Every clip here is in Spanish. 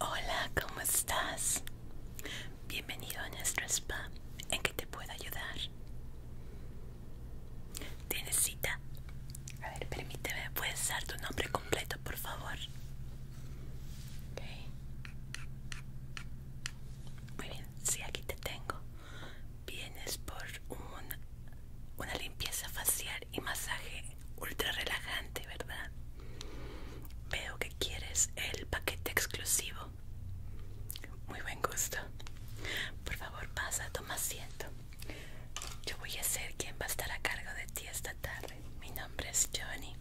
Hola, ¿cómo estás? Bienvenido a nuestro spa. ¿En qué te puedo ayudar? ¿Tienes cita? A ver, permíteme, ¿puedes dar tu nombre completo? por favor. Muy bien, sí, aquí te tengo. Vienes por una limpieza facial y masaje ultra relajante, ¿verdad? Veo que quieres el paquete exclusivo. Muy buen gusto. Por favor, pasa, toma asiento. Yo voy a ser quien va a estar a cargo de ti esta tarde mi nombre es Johnny.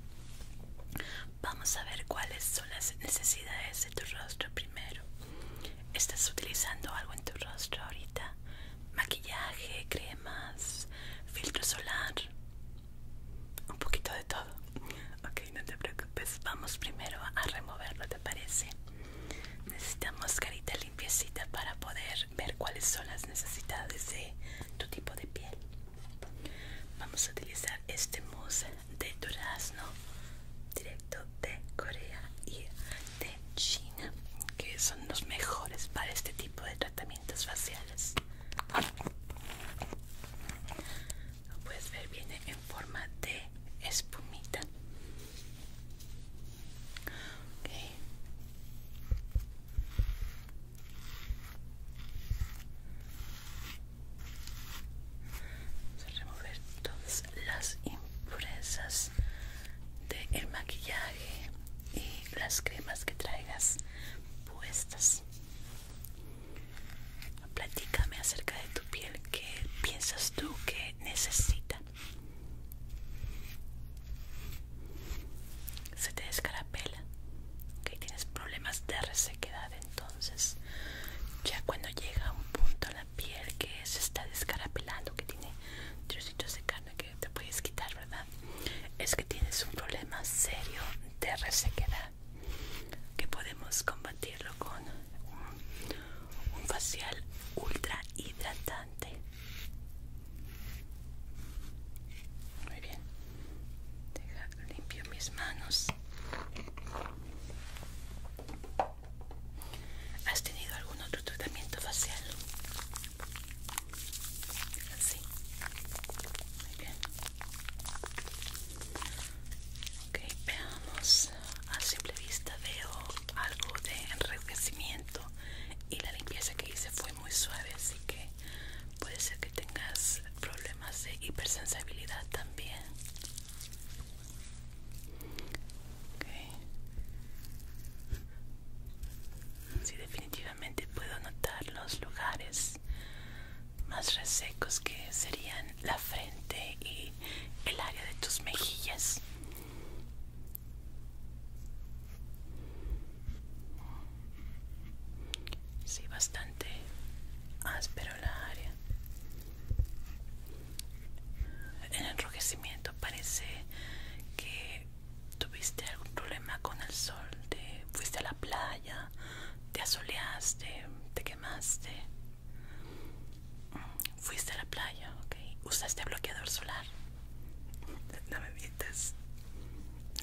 Vamos a ver cuáles son las necesidades de tu rostro primero. ¿Estás utilizando algo en tu rostro ahorita? Maquillaje, cremas, filtro solar, un poquito de todo. Ok, no te preocupes. Vamos primero a removerlo, ¿te parece? Necesitamos carita para poder ver cuáles son las necesidades de tu tipo de piel. Vamos a utilizar este mousse de durazno directo de Corea y de China, que son los mejores para este tipo de tratamientos faciales. Como puedes ver, viene en forma de espumita. Okay. Vamos a remover todas las impurezas del maquillaje y las cremas que traigas puestas. Platícame acerca de tu piel. que piensas tú que necesita? se te descarapela que tienes problemas de resequedad entonces ya cuando llega un punto la piel que se está descarapelando que tiene trocitos de carne que te puedes quitar verdad es que tienes un problema serio de resequedad que podemos combatirlo con un, facial ultra hidratado. Muy bien. Deja, limpio mis manos. ¿Has tenido algún otro tratamiento facial? Así. Muy bien. Ok, veamos. A simple vista veo algo de enriquecimiento y la limpieza que hice fue muy suave, así que puede ser que tengas problemas de hipersensibilidad también sí definitivamente puedo notar los lugares más resecos que serían la frente y el área de tus mejillas Sí, bastante áspero la área. El enrojecimiento parece que tuviste algún problema con el sol. fuiste a la playa, te asoleaste, te quemaste. Fuiste a la playa, ok. Usaste bloqueador solar. No me mientes.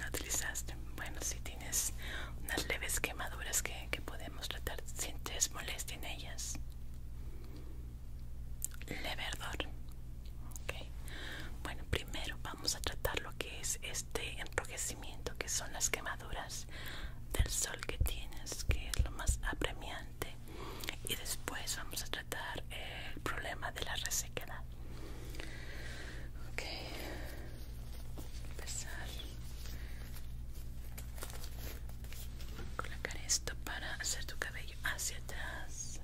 ¿No utilizaste? Bueno, si tienes unas leves quemaduras que, podemos tratar, ¿sientes molestia en ellas? Leve ardor. Bueno, primero vamos a tratar lo que es este enrojecimiento, que son las quemaduras del sol que tienes, que es lo más apremiante. Y después vamos a tratar el problema de la resequedad. Ok, empezar colocar esto para hacer tu cabello hacia atrás.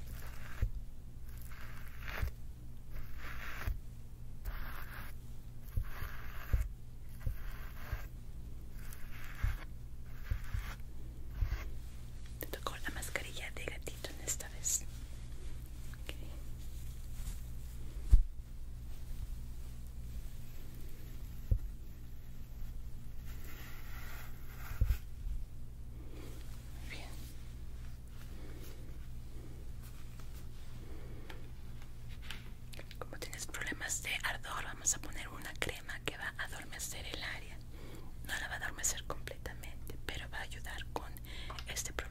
Te tocó la mascarilla de gatito en esta vez. Muy bien. Como tienes problemas de ardor, vamos a poner una crema que va a adormecer el área. No la va a adormecer completamente, pero va a ayudar con este problema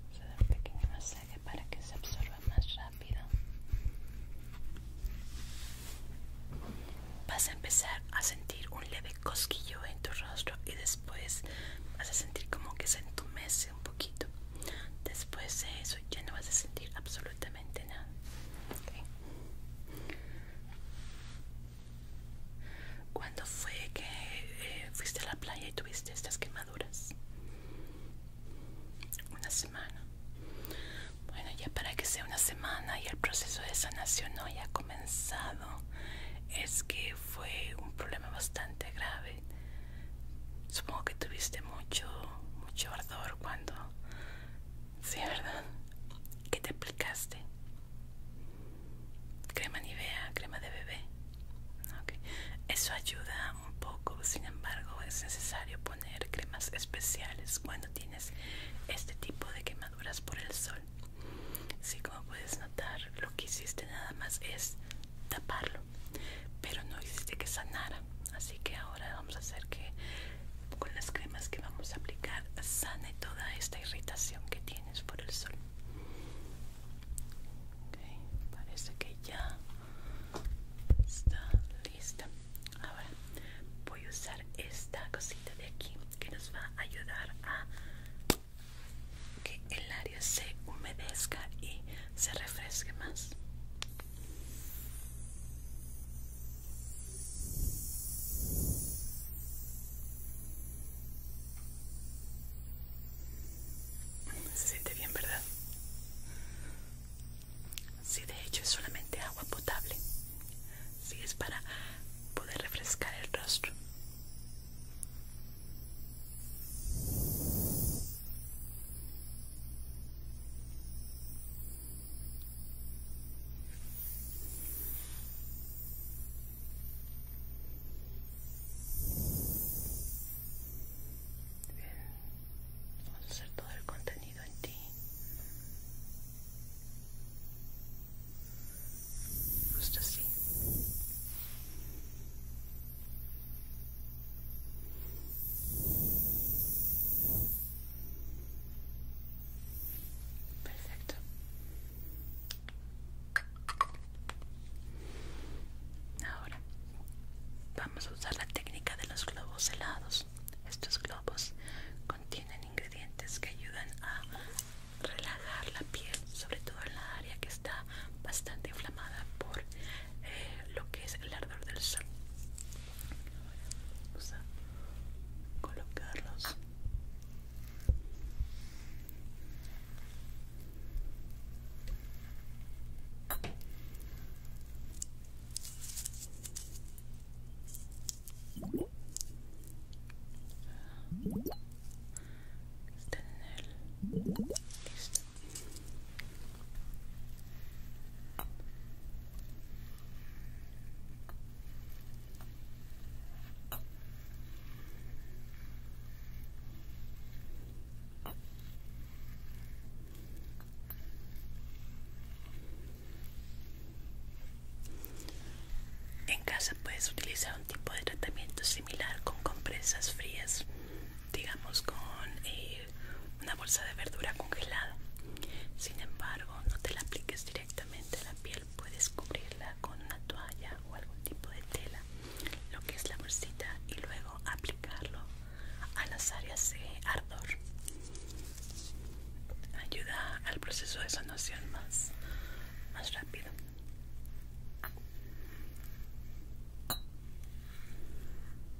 Vamos a dar un pequeño masaje para que se absorba más rápido. Vas a empezar a sentir un leve cosquillo en tu rostro y después vas a sentir como que se entumece un poquito. Después de eso ya no vas a sentir absolutamente nada. ¿Cuándo fue que eh, fuiste a la playa y tuviste estas quemaduras? Una semana. Bueno, ya para que sea una semana y el proceso de sanación no haya comenzado, es que fue un problema bastante grave. Supongo que tuviste mucho, mucho ardor cuando Sí, ¿verdad? ¿Qué te aplicaste? Crema Nivea, crema de bebé. Ah, Eso ayuda un poco, sin embargo, es necesario poner cremas especiales cuando tienes este tipo de quemaduras por el sol. Sí, como puedes notar, lo que hiciste nada más es taparlo, pero no hiciste que sanara así que ahora vamos a hacer que con las cremas que vamos a aplicar sane toda esta irritación que tienes por el sol Ok, parece que ya está lista ahora voy a usar esta cosita de aquí que nos va a ayudar a que el área se humedezca y se refresque más se siente bien, ¿verdad? Sí, de hecho es solamente agua potable. Sí, es para poder refrescar el rostro. Bien, vamos a hacer todo el contenido en ti. Justo así. Perfecto. Ahora vamos a usar la técnica de los globos helados. Estos globos contienen ingredientes que ayudan a relajar la piel, sobre todo en la área que está bastante inflamada por eh, lo que es el ardor del sol. vamos a colocarlos. en el... En casa puedes utilizar un tipo de tratamiento similar con compresas frías, digamos con eh, una bolsa de verdura congelada. Sin embargo, no te la apliques directamente a la piel, puedes cubrirla con una toalla o algún tipo de tela, lo que es la bolsita, y luego aplicarlo a las áreas de ardor. Ayuda al proceso de sanación más, más rápido.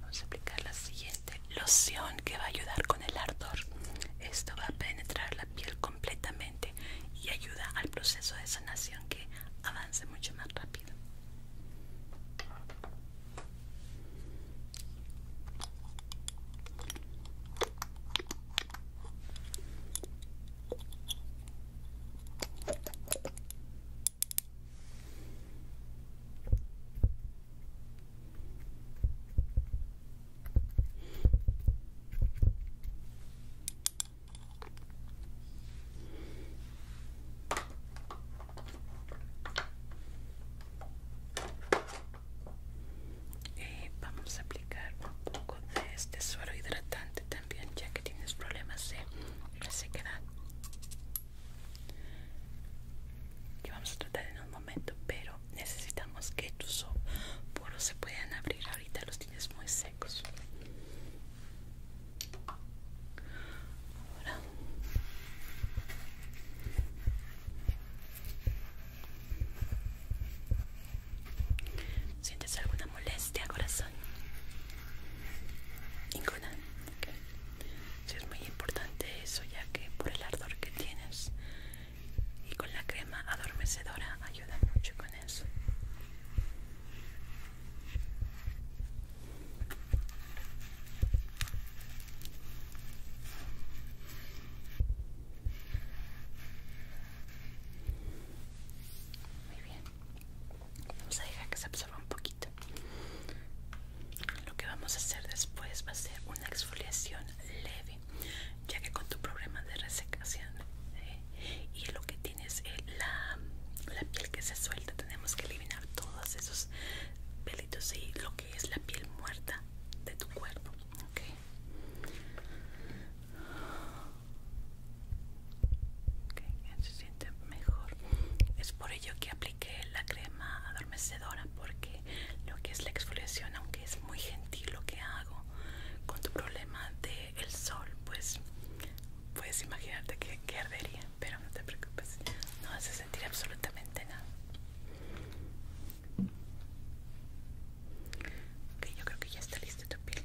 Vamos a aplicar la siguiente loción que va a ayudar con el ardor. Esto va a penetrar la piel completamente y ayuda al proceso de sanación que avance mucho más rápido. Y eh, vamos a aplicar un poco de este suelo hidratante también, ya que tienes problemas de resequedad. Que vamos a tratar en un pero necesitamos que tus poros se puedan abrir ahorita los tienes muy secos ahora ¿Sientes alguna molestia, corazón? Ninguna. es muy importante eso, ya que por el ardor que tienes y con la crema adormecedora ayuda mucho con eso muy bien vamos a dejar que se absorba un poquito lo que vamos a hacer después va a ser una exfoliación leve ya que con tu problema de resecación eh, y lo que tienes eh, la, piel que se suelta tenemos que eliminar todos esos pelitos y lo que es la piel muerta de tu cuerpo ¿okay? se siente mejor es por ello que apliqué la crema adormecedora porque lo que es la exfoliación es muy gentil lo que hago con tu problema del sol pues puedes imaginarte que, ardería pero no te preocupes no vas a sentir absolutamente nada ok yo creo que ya está lista tu piel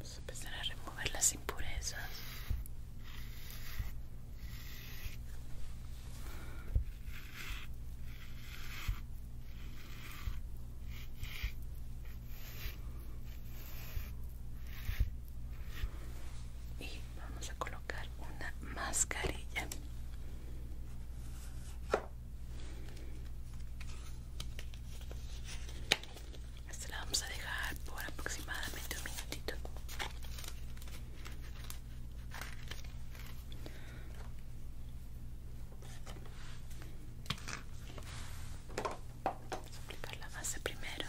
Vamos a empezar a remover las impurezas. Y vamos a colocar una mascarilla esta la vamos a dejar por aproximadamente un minutito vamos a aplicar la base primero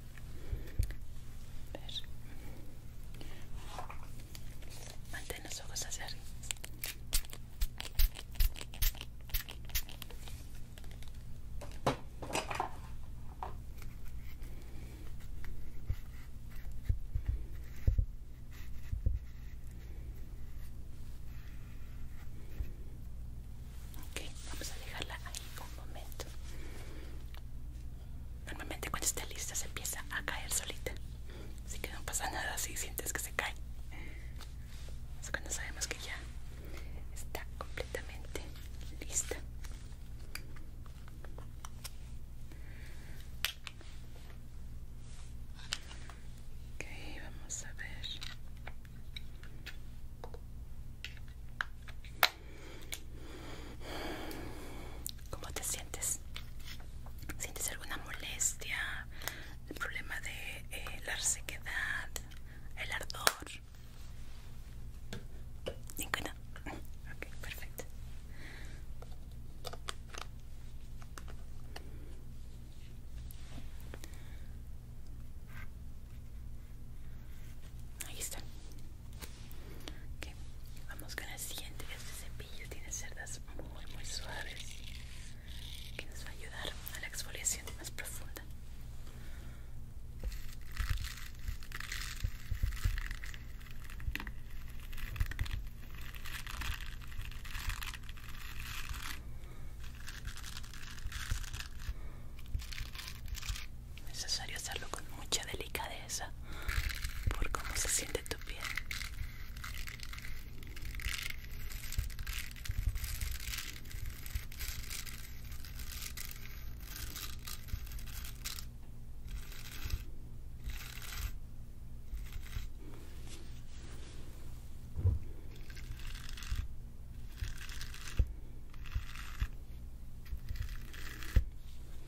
Ver. Mantén los ojos hacia arriba. Ok, vamos a dejarla ahí un momento. Normalmente cuando está lista se empieza a caer solita. Así que no pasa nada si sientes que se cae. Es cuando sabemos que ya está completamente lista. Ok, vamos a ver. ¿Cómo te sientes? ¿Sientes alguna molestia? ¿El problema de eh, la sequedad, ¿El ardor? ¿Ninguna? Ok, perfecto. Ahí está. Vamos con el siguiente. Este cepillo tiene cerdas muy muy suaves que nos va a ayudar a la exfoliación más profunda necesario hacerlo con mucha delicadeza por cómo se siente tu piel.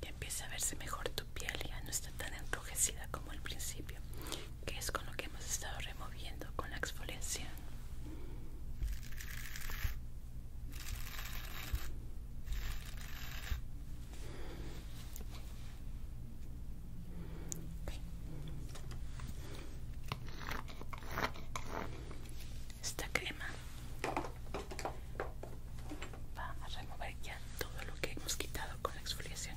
Ya empieza a verse mejor tu piel, ya no está tan enrojecida como al principio, que es con lo que hemos estado removiendo con la exfoliación. Esta crema va a remover ya todo lo que hemos quitado con la exfoliación.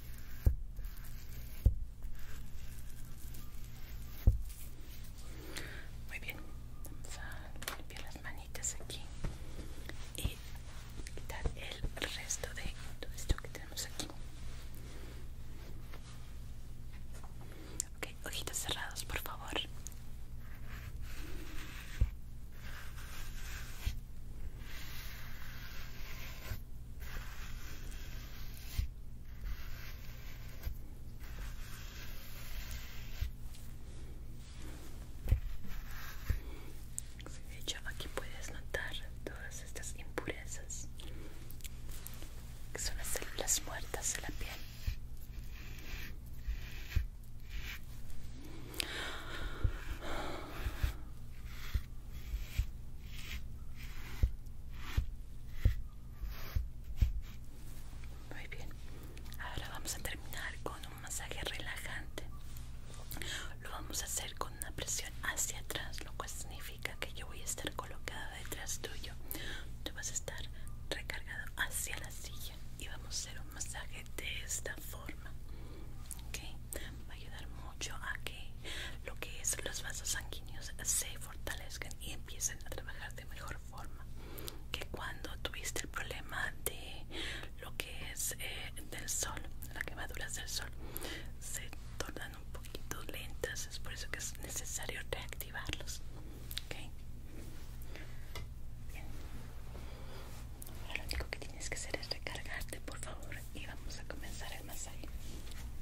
Muy bien, vamos a limpiar las manitas aquí y quitar el resto de todo esto que tenemos aquí. Ok, ojitos cerrados, por favor. De hecho, aquí puedes notar todas estas impurezas que son las células muertas de la piel. Muy bien. Ahora vamos a terminar con un masaje relajante. Lo vamos a hacer con una presión hacia atrás, lo cual significa que yo voy a estar colocada detrás tuyo. Tú vas a estar recargado hacia la silla y vamos a hacer un masaje de esta forma. ¿Ok? Va a ayudar mucho a que lo que es los vasos sanguíneos se fortalezcan y empiecen a trabajar de mejor forma que cuando tuviste el problema de lo que es eh, del sol las quemaduras del sol se tornan un poquito lentas es por eso que es necesario reactivarlos ok Bien. Ahora lo único que tienes que hacer es recargarte por favor y vamos a comenzar el masaje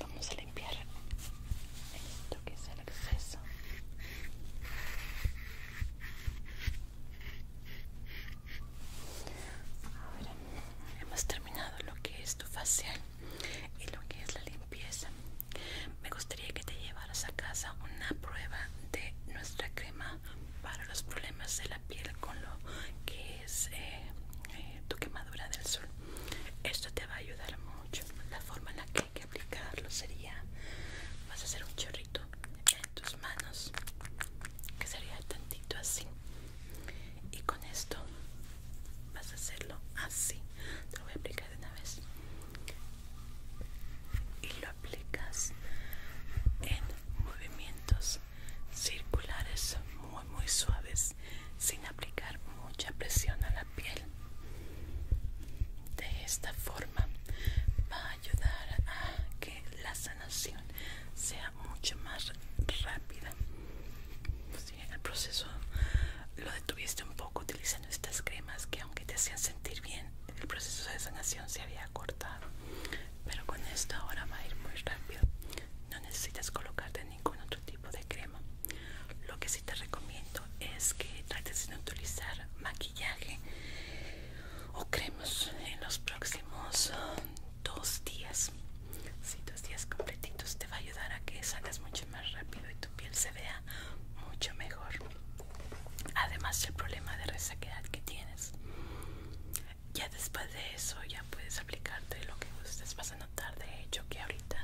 Vamos a limpiar esto que es el exceso. Ahora hemos terminado lo que es tu facial y lo que es la limpieza. Me gustaría que te llevaras a casa una prueba de nuestra crema para los problemas de la piel con lo que eh, eh, tu quemadura del sol. Esto te va a ayudar mucho. La forma en la que hay que aplicarlo sería, vas a hacer un chorrito en tus manos, que sería tantito así. Y con esto vas a hacerlo así. Te lo voy a aplicar de una vez. Y lo aplicas en movimientos circulares muy muy suaves sin aplicar mucha presión a la piel de esta forma va a ayudar a que la sanación sea mucho más rápida si en el proceso lo detuviste un poco utilizando estas cremas que aunque te hacían sentir bien el proceso de sanación se había cortado pero con esto ahora va a ir muy rápido no necesitas colocarte ningún otro tipo de crema lo que sí te recomiendo es que trates de no utilizar maquillaje o cremas en los próximos ah, dos días si dos días completitos te va a ayudar a que salgas mucho más rápido y tu piel se vea mucho mejor además el problema de resequedad que tienes ya después de eso ya puedes aplicarte lo que gustes vas a notar de hecho que ahorita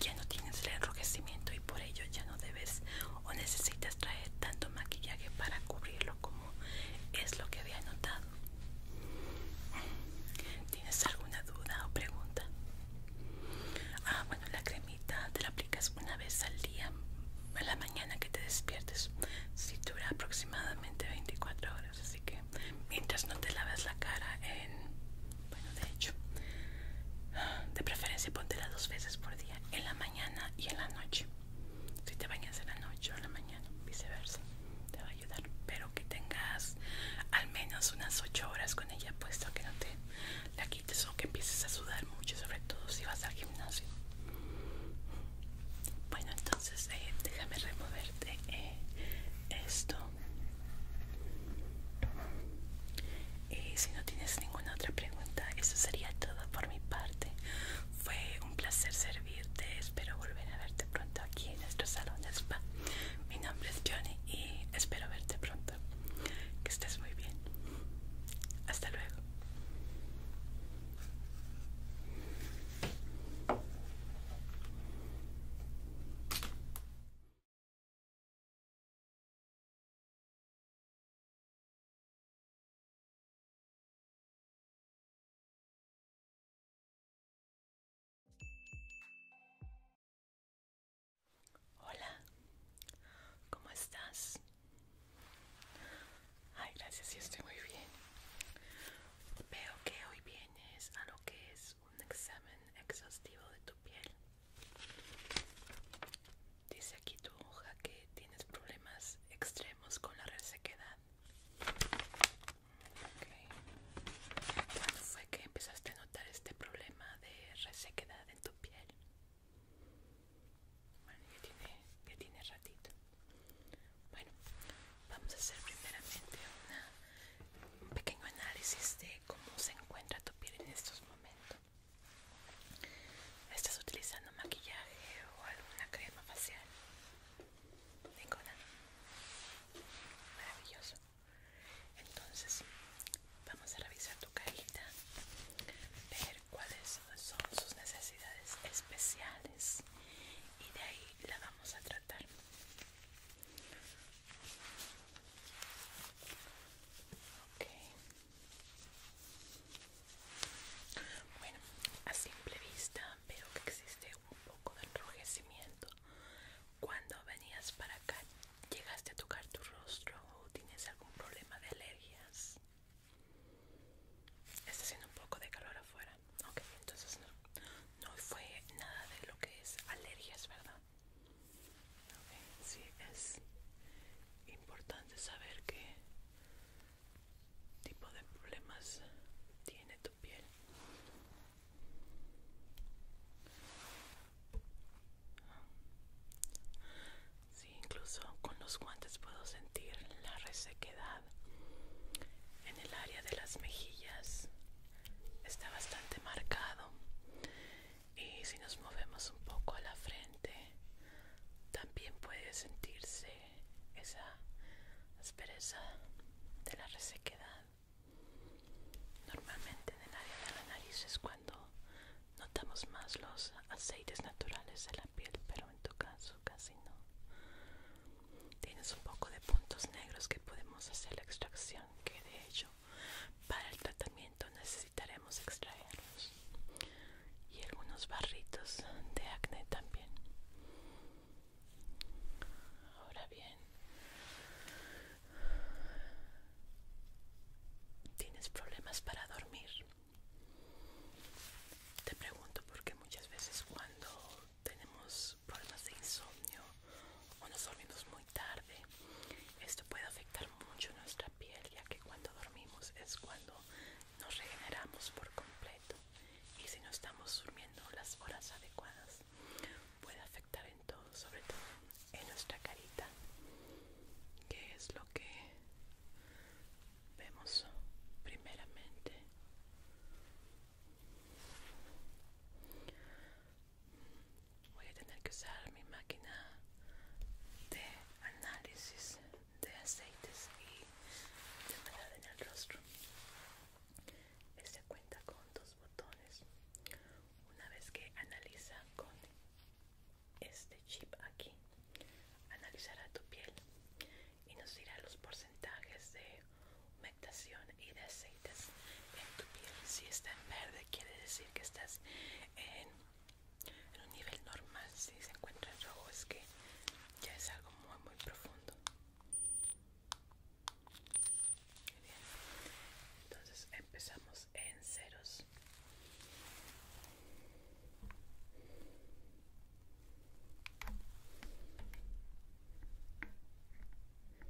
ya no tienes el enrojecimiento y por ello ya no debes o necesitas traer tanto maquillaje para cubrirlo como es lo que había notado ¿Tienes alguna duda o pregunta? Ah, bueno, la cremita te la aplicas una vez al día, a la mañana que te despiertes. Si dura aproximadamente 24 horas, así que mientras no te laves la cara en bueno de hecho de preferencia póntela dos veces por día en la mañana y en la noche si te bañas en la noche o en la mañana viceversa te va a ayudar pero que tengas al menos unas ocho horas con ella puesto que no te la quites o que empieces a sudar mucho sobre todo si vas al gimnasio bueno, entonces eh, déjame removerte eh, esto. Y eh, si no tienes ninguna otra pregunta, eso sería todo por mi parte. Fue un placer servirte. Espero volver a verte pronto aquí en nuestro salón de spa. Mi nombre es Johnny y espero verte pronto. Que estés muy bien. Hasta luego. Hola, ¿cómo estás? Ay, gracias, y estoy muy bien. Veo que hoy bien. ¿Tienes a lo que es un examen exhaustivo de tu piel. Dice aquí tu hoja que tienes problemas extremos con la resequedad. ¿Cuándo fue que empezaste a notar este problema de resequedad en tu piel? Bueno, ya tiene ratito. Bueno, vamos a hacer primeramente un pequeño análisis de cómo se encuentra tu piel en estos momentos. ¿Estás utilizando maquillaje o alguna crema facial? Ninguna. Maravilloso. Entonces, vamos a revisar tu carita, ver cuáles son sus necesidades especiales y de ahí la vamos a tratar. Okay. Bueno, a simple vista veo que existe un poco de enrojecimiento. Cuando venías para acá, ¿llegaste a tocar tu rostro o tienes algún problema de alergias? Está haciendo un poco de calor afuera ok, entonces no, fue nada de lo que es alergias, ¿verdad? Okay, sí, es importante saber qué tipo de problemas tiene tu piel. Sí, incluso con los guantes puedo sentir la resequedad en el área de las mejillas está bastante marcado y si nos movemos un poco a la frente también puede sentirse esa aspereza de la resequedad normalmente en el área de la nariz es cuando notamos más los aceites naturales de la piel pero en tu caso casi no Tienes un poco de puntos negros que podemos hacer la extracción, que de hecho para el tratamiento necesitaremos extraerlos. Y algunos barritos de acné también. Ahora bien, ¿tienes problemas para dormir? Te pregunto porque muchas veces cuando tenemos problemas de insomnio o nos dormimos muy tarde, esto puede afectar mucho nuestra piel ya que cuando dormimos es cuando nos regeneramos por completo y si no estamos durmiendo las horas adecuadas puede afectar en todo, sobre todo en nuestra carita que es lo que vemos primeramente Voy a tener que usar mi máquina de análisis de aceites y de humedad en el rostro. Este cuenta con dos botones. Una vez que analiza con este chip aquí, analizará tu piel y nos dirá los porcentajes de humectación y de aceites en tu piel. Si está en verde, quiere decir que estás en, un nivel normal. Si se encuentra en rojo, es que ya es algo muy, muy profundo. Entonces empezamos en ceros. Veamos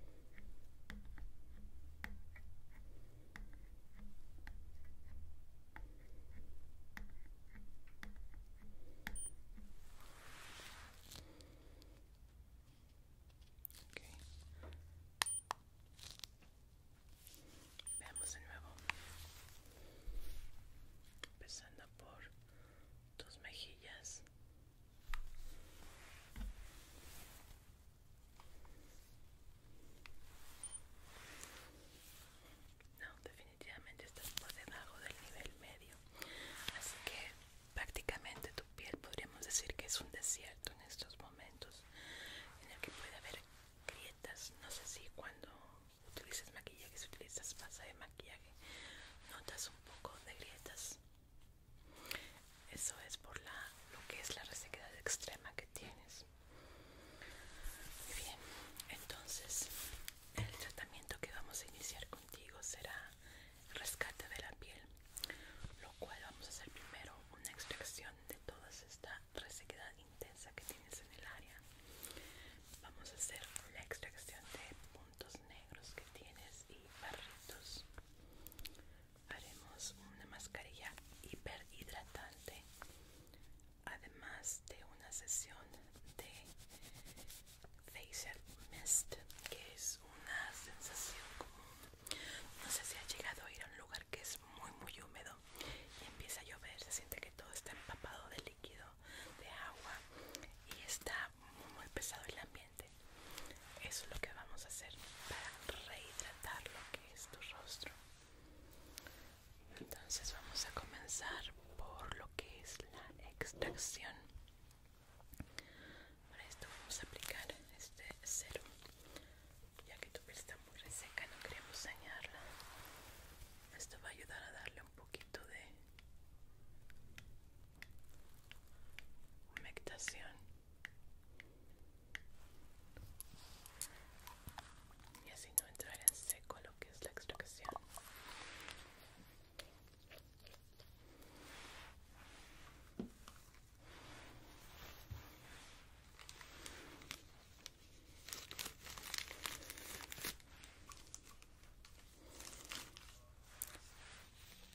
de nuevo. Empezando por tus mejillas. No, definitivamente estás por debajo del nivel medio. Así que prácticamente tu piel podríamos decir que es un desierto en estos momentos en el que puede haber grietas. No sé si cuando utilizas maquillaje, si utilizas pasta de maquillaje, notas un poco de grietas. Eso es por lo que es la resequedad extrema que tienes. Muy bien, entonces el tratamiento que vamos a iniciar contigo será rescate de la piel, lo cual vamos a hacer primero una extracción de toda esta resequedad intensa que tienes en el área. Vamos a hacer la extracción de puntos negros que tienes y barritos haremos una mascarilla hiperhidratante además de una sesión de facial mist que es una sensación común no sé si ha llegado a ir a un lugar que es muy muy húmedo y empieza a llover se siente que todo está empapado de líquido de agua y está muy pesado el ambiente. Eso es lo que vamos a hacer para rehidratar lo que es tu rostro. Entonces vamos a comenzar por lo que es la extracción. Para esto vamos a aplicar este serum. Ya que tu piel está muy reseca, no queremos dañarla. Esto va a ayudar a darle un poquito de mectación. y así no entrar en seco lo que es la extracción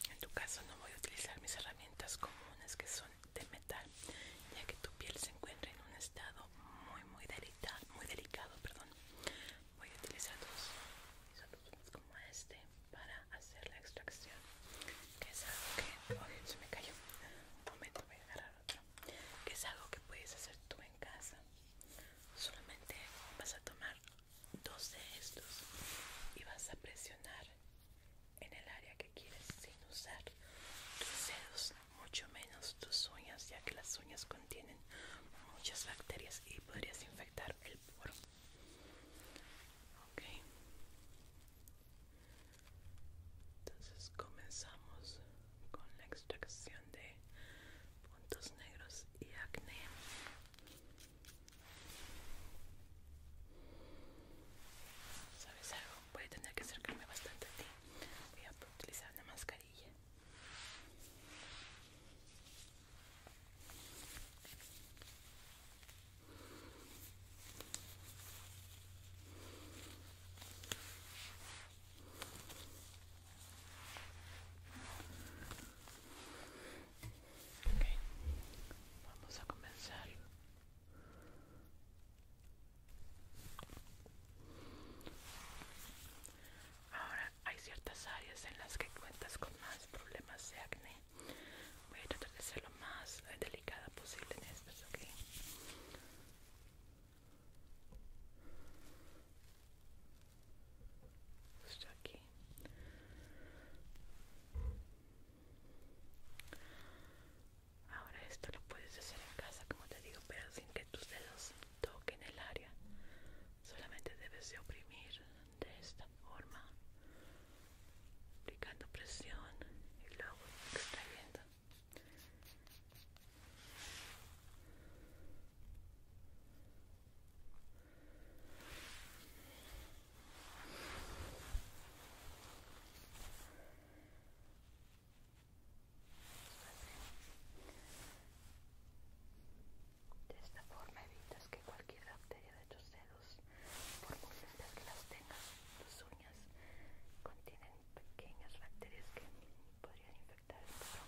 en tu caso no voy a utilizar mis herramientas comunes que son de metal, ya que tu piel se encuentra en un estado muy muy delicado, muy delicado, Voy a utilizar dos como este para hacer la extracción, que es algo que Que es algo que puedes hacer tú en casa. Solamente vas a tomar dos de estos y vas a presionar en el área que quieres sin usar tus dedos, mucho menos tus uñas, ya que las uñas contienen muchas bacterias y podrías infectar el poro. Ok, entonces comenzamos con la extracción de puntos negros y acné. ¿Sabes algo? Voy a tener que acercarme bastante a ti. Voy a utilizar una mascarilla. Vamos a comenzar. Ahora hay ciertas áreas en las que cuentas con más problemas de acné. Voy a tratar de ser lo más eh, delicada posible en estas, ¿ok? Justo aquí. Ahora esto lo puedes hacer en casa, como te digo, pero sin que tus dedos toquen el área. Solamente debes de oprimir de esta forma, aplicando presión y luego extrayendo. De esta forma evitas que cualquier bacteria de tus dedos, por muy que las tengas, tus uñas contienen pequeñas bacterias que podrían infectar el pelo.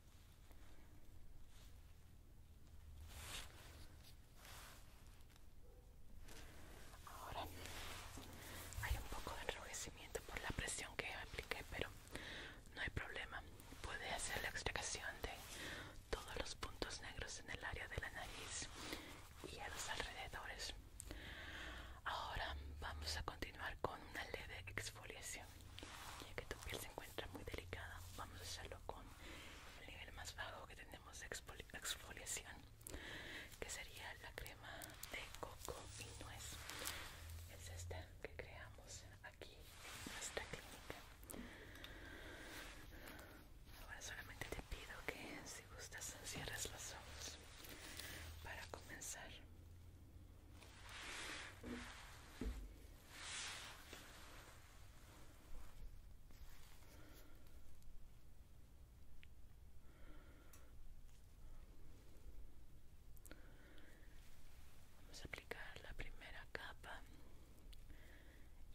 Ahora hay un poco de enrojecimiento por la presión que apliqué, pero no hay problema. Puede hacer la extracción de todos los puntos negros en el área de la nariz y a los alrededores. Ahora vamos a continuar con una leve exfoliación ya que tu piel se encuentra muy delicada vamos a hacerlo con el nivel más bajo que tenemos de exfoliación que sería la crema de coco y nuez es esta que creamos aquí en nuestra clínica ahora solamente te pido que si gustas cierres los ojos para comenzar Vamos a aplicar la primera capa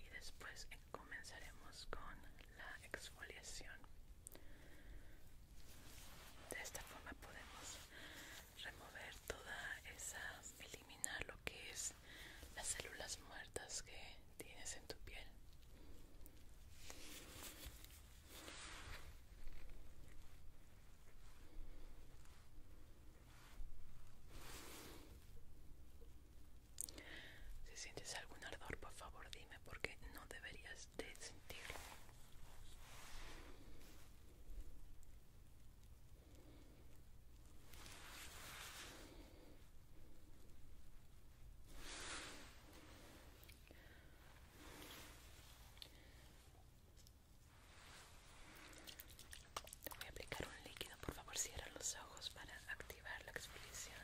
y después comenzaremos con la exfoliación. De esta forma podemos remover toda esa, eliminar lo que es las células muertas que tienes en tu piel. Si sientes algún ardor, por favor dime porque no deberías de sentirlo voy a aplicar un líquido, por favor cierra los ojos para activar la exfoliación.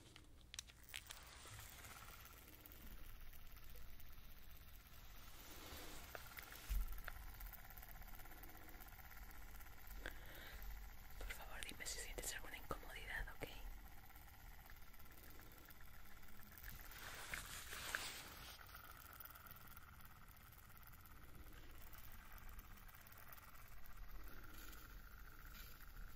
Por favor, dime si sientes alguna incomodidad, ¿ok?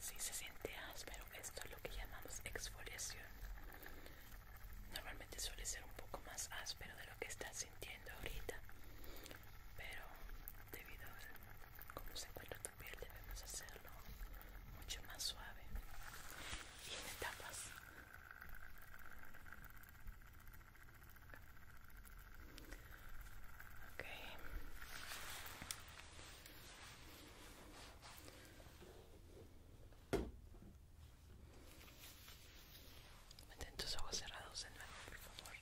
si se siente áspero esto es lo que llamamos exfoliación normalmente suele ser un poco más áspero de lo que estás sintiendo ahorita pero debido a cómo se encuentra tu piel debemos hacerlo mucho más suave y en etapas ok Mantén tus ojos cerrados en nuevo, por favor.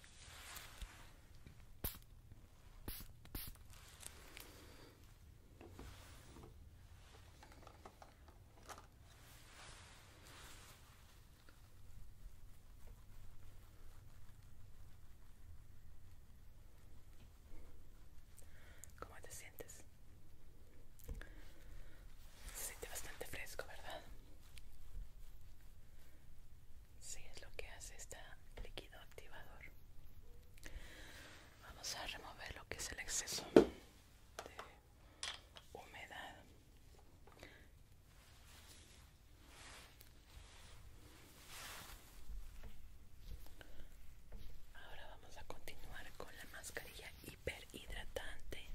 ¿Cómo te sientes? Se siente bastante fresco, ¿verdad? Sí, es lo que hace este líquido activador. Vamos a remover lo que es el exceso de humedad. Ahora vamos a continuar con la mascarilla hiperhidratante,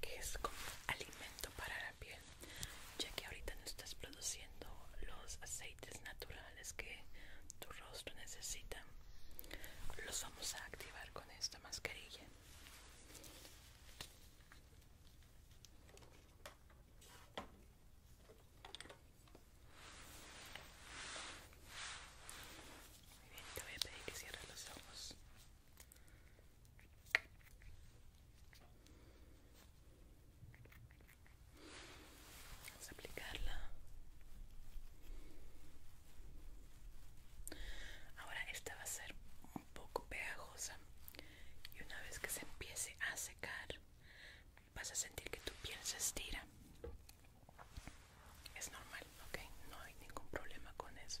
que es como alimento para la piel, ya que ahorita no estás produciendo los aceites naturales que tu rostro necesita. Los vamos a activar con esta mascarilla. Muy bien, te voy a pedir que cierres los ojos. Vamos a aplicarla. Ahora esta va a ser un poco pegajosa y una vez que se empiece a secar vas a sentir que tu piel se estira. Es normal, ok, no hay ningún problema con eso.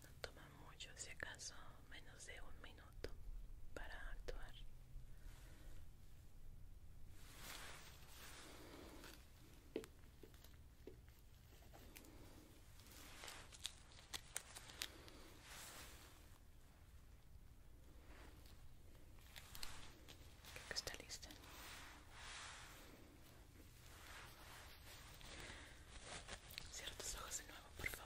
No toma mucho, si acaso menos de un minuto para actuar. Creo está lista. Cierra os ojos de novo, por favor.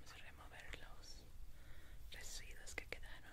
Vamos a remover los residuos que quedaron.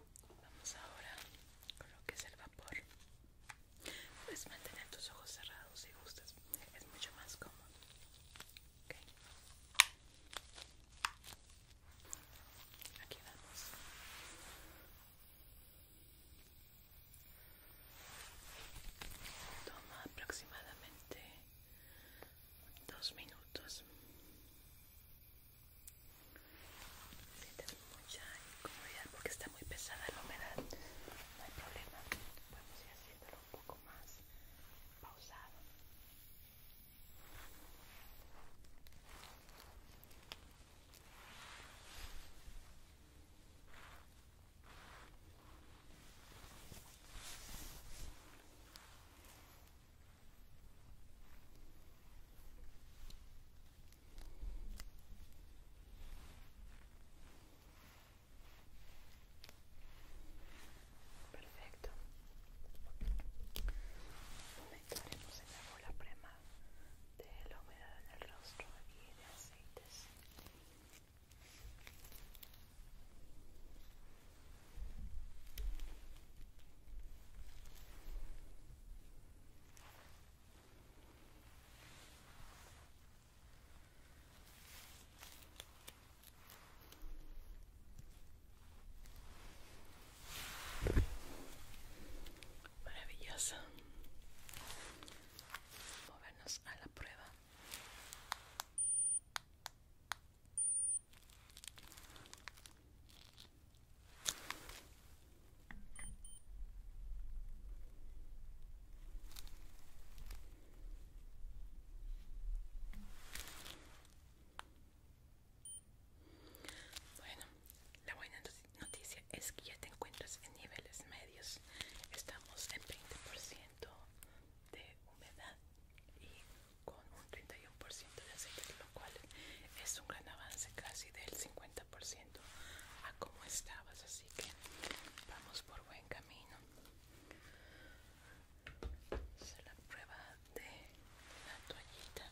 Vamos ahora con lo que es el vapor. Puedes mantener tus ojos cerrados si gustas, es mucho más cómodo. Aquí vamos. Toma aproximadamente dos minutos. Sientes mucha incomodidad porque está muy pesada la humedad. No hay problema. Podemos ir haciéndolo un poco más pausado. Perfecto. Aumentaremos en la la prema de la humedad en el rostro y de aceites. Maravilloso. Movernos a la prueba. Bueno, la buena noticia es que ya te encuentras en niveles medios. Estamos en 20% de humedad y con un 31% de aceite, lo cual es un gran avance casi del 50% a cómo estabas, así que vamos por buen camino. es la prueba de la toallita.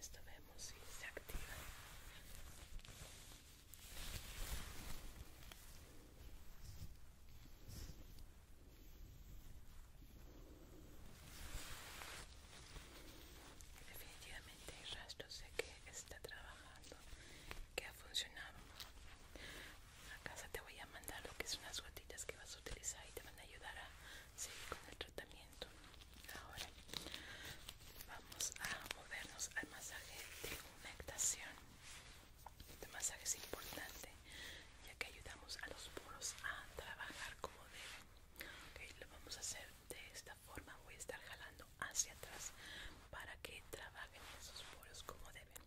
Esto vemos si se activa. Definitivamente hay rastros de que está trabajando, que ha funcionado. A casa te voy a mandar lo que son las gotitas que vas a utilizar y te van a ayudar a seguir con el tratamiento. Ahora vamos a movernos al masaje de humectación. Este masaje es importante ya que ayudamos a los poros a trabajar como deben. lo vamos a hacer de esta forma, voy a estar jalando hacia atrás para que trabajen esos poros como deben.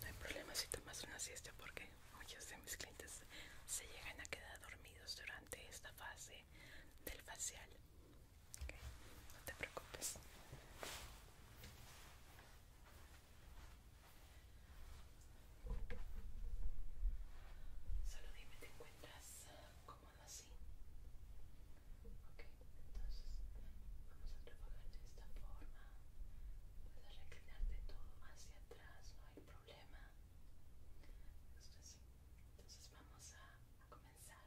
No hay problema si tomas una siesta porque muchos de mis clientes se llegan a quedar dormidos durante esta fase del facial. no te preocupes. Solo dime, ¿te encuentras cómodo así? Ok, entonces vamos a trabajar de esta forma. Puedes reclinarte todo hacia atrás, no hay problema. Entonces vamos a, comenzar.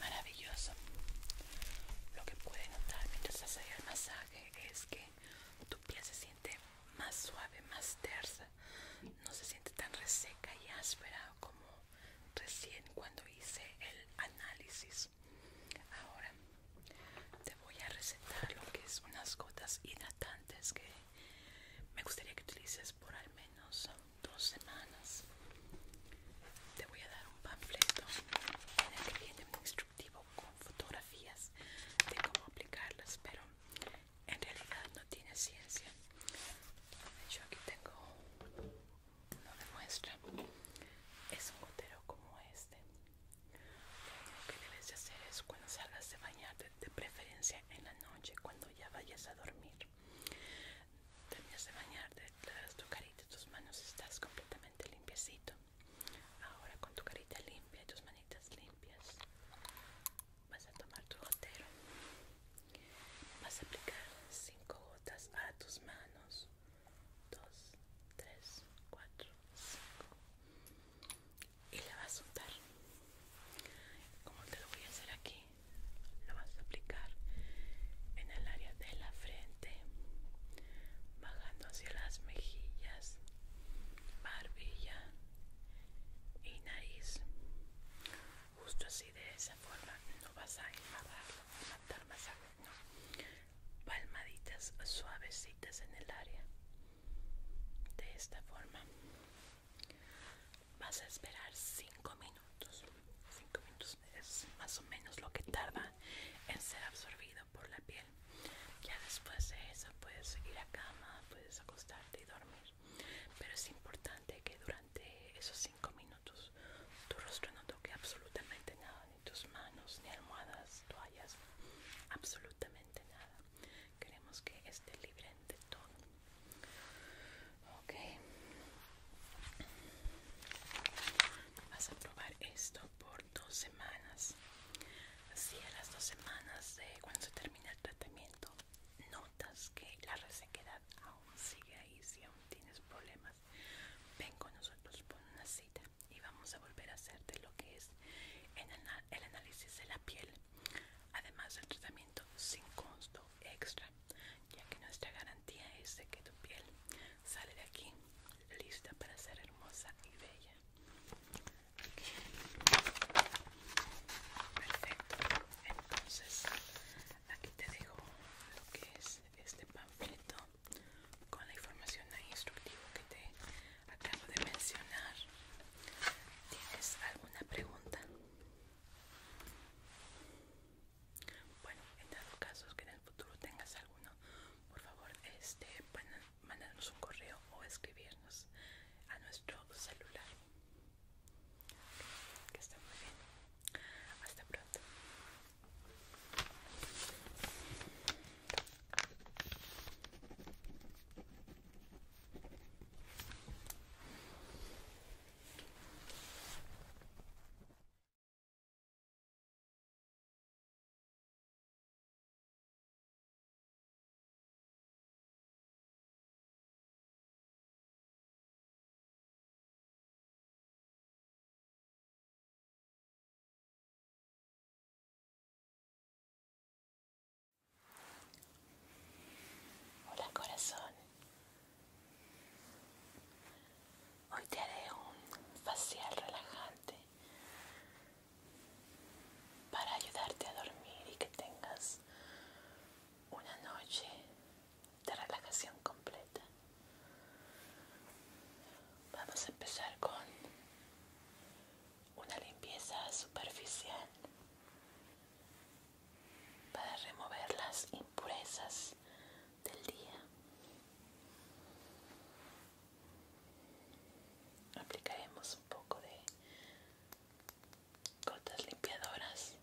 Maravilloso. Lo que puede notar mientras haces el masaje es que tu piel se más suave, más tersa, no se siente tan reseca y áspera como recién cuando hice el análisis. Ahora te voy a recetar lo que es unas gotas hidratantes que me gustaría que utilices por al menos dos semanas. Te voy a dar un panfleto en el que viene un instructivo con fotografías de cómo aplicarlas, pero en realidad no tiene ciencia. Yo aquí tengo no de muestra. Es un gotero como este. Lo que debes de hacer es cuando salgas de bañarte, de preferencia en la noche, cuando ya vayas a dormir. Terminas de bañarte, te tu carita, tus manos estás completamente limpiecito. Ahora con tu carita limpia y tus manitas limpias, vas a tomar tu gotero vas a aplicar 5 gotas a tus manos 2 3 4 5 y la vas a untar como te lo voy a hacer aquí lo vas a aplicar en el área de la frente bajando hacia las mejillas barbilla y nariz justo así de esa forma no vas a a matar más no palmaditas suavecitas en el área de esta forma vas a esperar 5 minutos 5 minutos es más o menos lo que tarda en ser absorbido por la piel ya después de eso puedes ir a cama puedes acostarte y dormir pero es importante que durante esos 5 minutos tu rostro no toque absolutamente nada, ni tus manos, ni almohadas, toallas, absolutamente nada. Queremos que esté libre de todo. Ok. Vas a probar esto por dos semanas. Así a las dos semanas de cuando se termina el tratamiento notas que la resequedad aún sigue ahí, si aún tienes problemas, ven con nosotros por una cita y vamos a volver a hacerte lo que es el análisis de la piel, además del tratamiento sin costo extra, ya que nuestra garantía es de que tu piel sale de aquí lista para ser hermosa y bella perfecto entonces aquí te dejo lo que es este panfleto con la información e instructivo que te acabo de mencionar tienes alguna pregunta bueno en dado caso que en el futuro tengas alguno por favor este un correo o escribirnos a nuestro celular que está muy bien. Hasta pronto. Hola corazón, hoy te haré un facial relajante para ayudarte a dormir y que tengas una noche de relajación completa. Vamos a empezar con una limpieza superficial para remover las impurezas del día. Aplicaremos un poco de gotas limpiadoras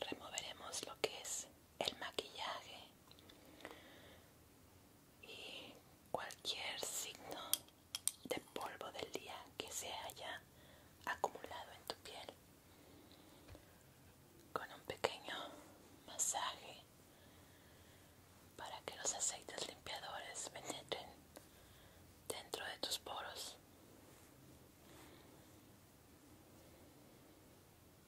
removeremos lo que es el maquillaje y cualquier signo de polvo del día que se haya acumulado en tu piel con un pequeño masaje para que los aceites limpiadores penetren dentro de tus poros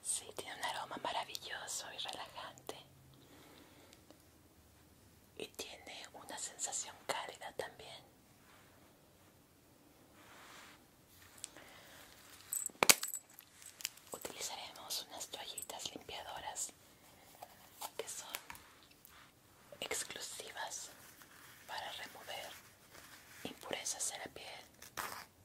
Sí, tiene un aroma maravilloso y relajante. Y tiene una sensación cálida también. Utilizaremos unas toallitas limpiadoras que son exclusivas para remover impurezas en la piel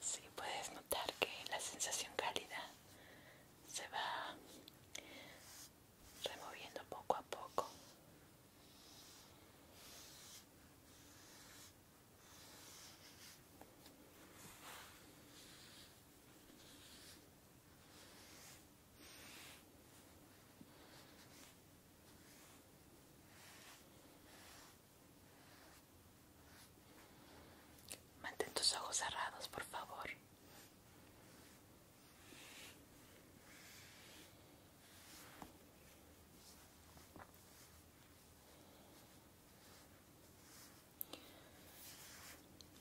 sí, puedes notar que la sensación cálida se va removiendo poco a poco. Mantén tus ojos cerrados, por favor.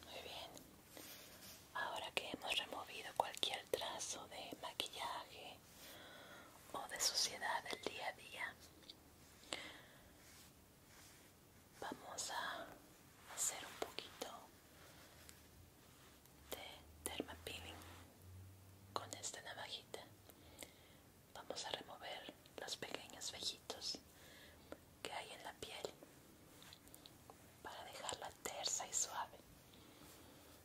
Muy bien. Ahora que hemos removido cualquier trazo de maquillaje o de suciedad del día a día. Vamos a hacer un poquito de peeling con esta navajita. Vamos a remover los pequeños vellitos que hay en la piel para dejarla tersa y suave.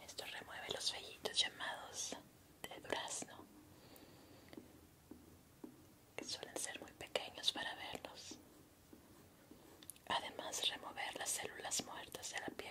Esto remueve los vellitos llamados de durazno, que suelen ser muy pequeños para verlos. Además, remover las células muertas de la piel.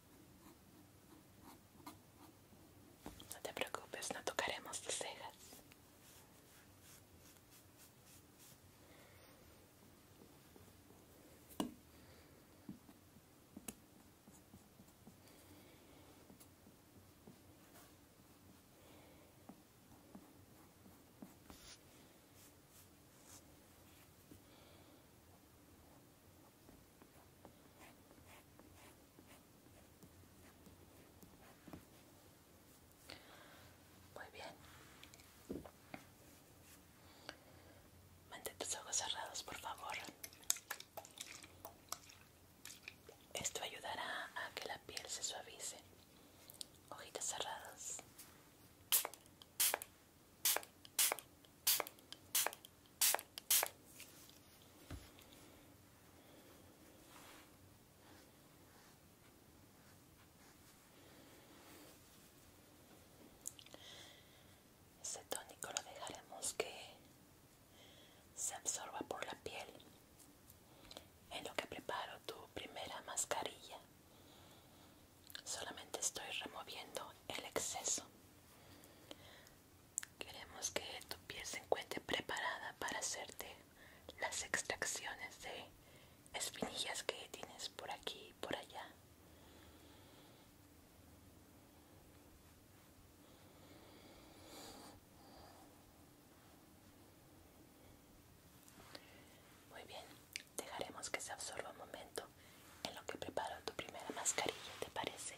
No te preocupes, no tocaremos tus cejas. Muy bien. Mantén tus ojos cerrados, por favor. Esto ayudará a que la piel se suavice. Ojitos cerrados. Este tónico lo dejaremos que se absorba por la piel en lo que preparo tu primera mascarilla. Solamente estoy removiendo el exceso. Queremos que tu piel se encuentre preparada para hacerte las extracciones de espinillas que tienes por aquí y por allá. Muy bien, dejaremos que se absorba un momento en lo que preparo tu primera mascarilla, ¿te parece?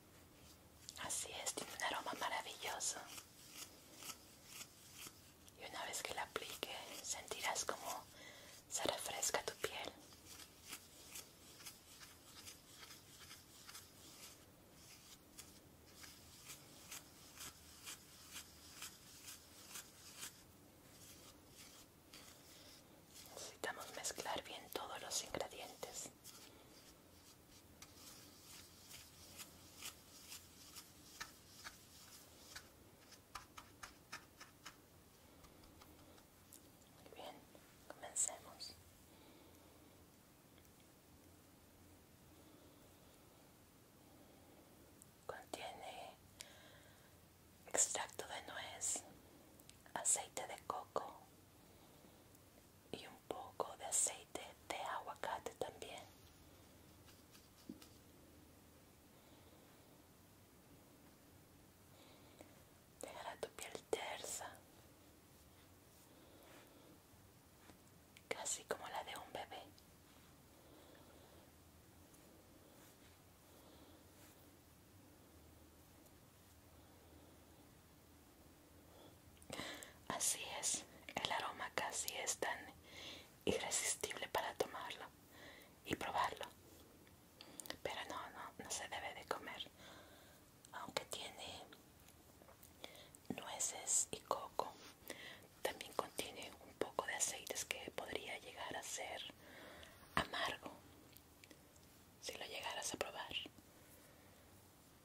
Así es, tiene un aroma maravilloso. Y una vez que la aplique, sentirás como se refresca tu piel. Necesitamos mezclar bien todos los ingredientes muy bien, comencemos. Contiene extracto de nuez, aceite de coco, y un poco de aceite de aguacate también. La tu piel tersa, casi como la de un bebé. Así es, el aroma casi es tan irresistible para tomarlo y probarlo. Pero no, no, no se debe de comer. Aunque tiene nueces y coco, también contiene un poco de aceites que podría llegar a ser amargo si lo llegaras a probar.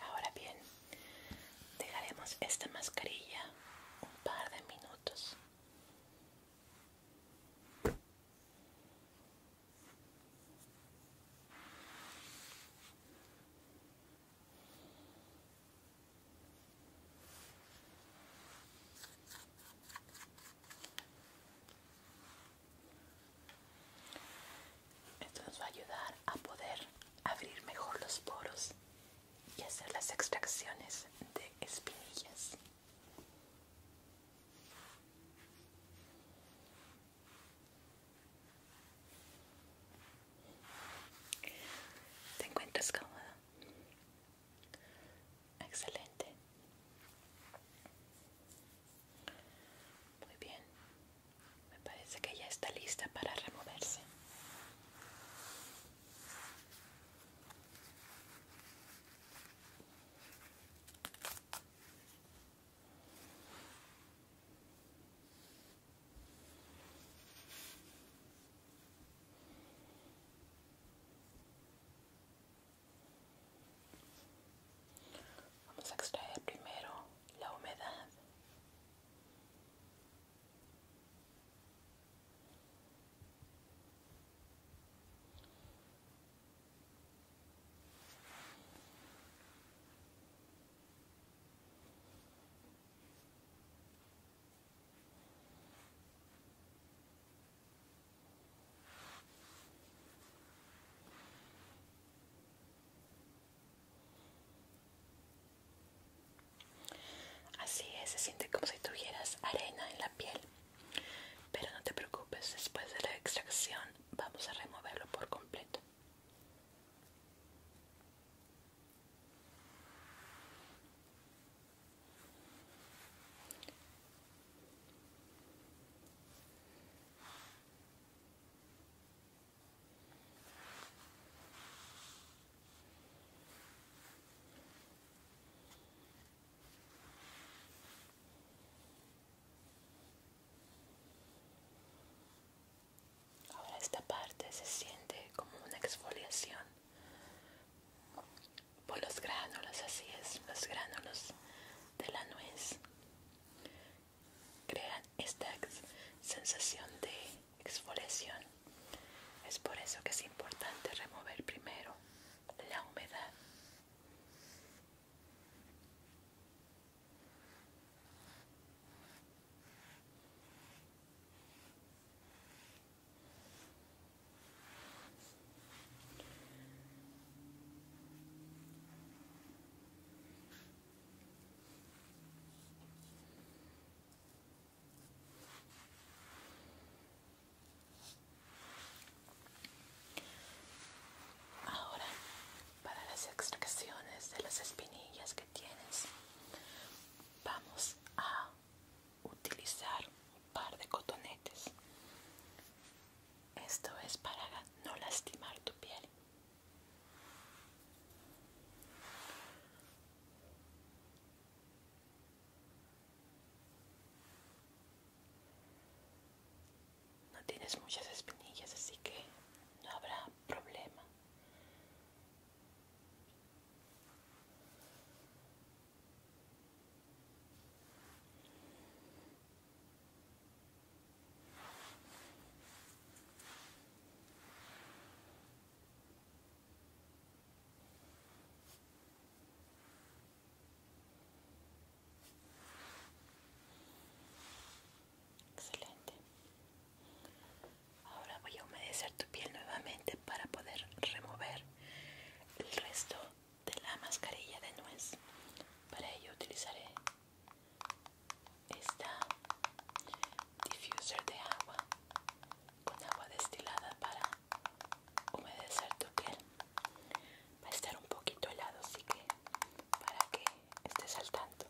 Ahora bien, dejaremos esta mascarilla un par de minutos. Esto nos va a ayudar a poder abrir mejor los poros y hacer las extracciones de espinillas. ¿Te encuentras cómoda? Excelente. Muy bien. Me parece que ya está lista para removerse. Vamos a extraer primero la humedad. Así es, se siente como si tuvieras arena en la piel. Pero no te preocupes, después de la extracción vamos a removerlo por completo. Ahora esta parte se siente como una exfoliación por los gránulos, así es, los gránulos de la nuez crean esta sensación de exfoliación. Es por eso que es importante remover primero la humedad. Ahora, para las extracciones de las espinillas que tienes, vamos a utilizar un par de cotonetes. Esto es para no lastimar tu piel. No tienes muchas espinillas, así que no habrá problema. Excelente. Ahora voy a humedecer tu piel nuevamente para poder remover el resto de la mascarilla de nuez para ello utilizaré esta diffuser de agua con agua destilada para humedecer tu piel va a estar un poquito helado así que para que estés al tanto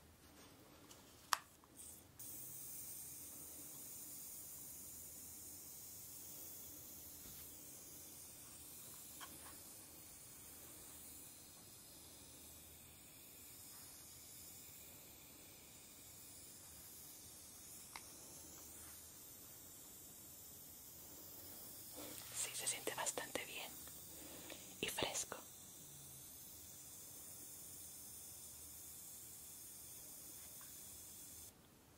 Sí, se siente bastante bien y fresco.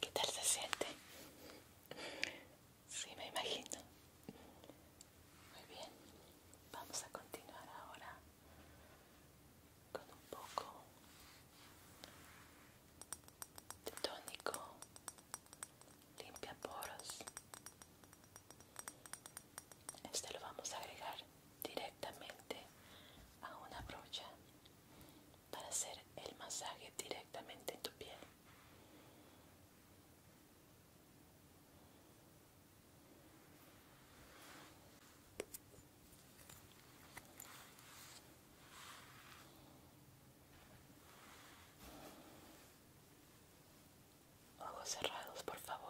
¿Qué tal se siente? Sí, me imagino. Muy bien. Vamos a continuar ahora con un poco de tónico limpia poros este lo vamos a agregar directamente a una brocha para hacer el masaje directamente en tu piel Ojos cerrados, por favor.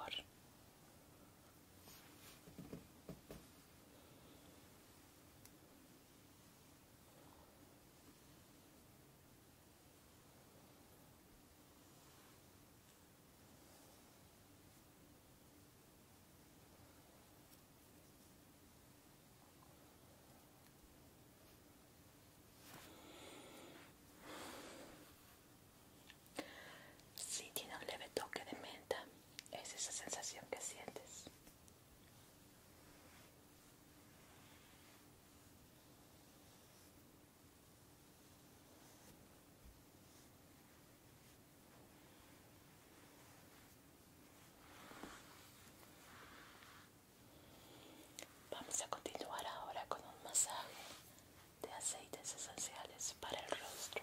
Si tiene un leve toque de menta, es esa sensación que sientes. Vamos a continuar ahora con un masaje de aceites esenciales para el rostro.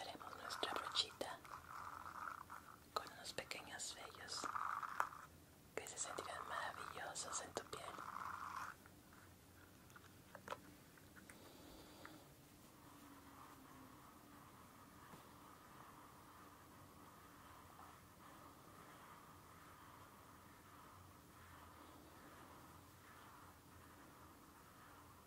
haremos nuestra brochita con unos pequeños vellos que se sentirán maravillosos en tu piel.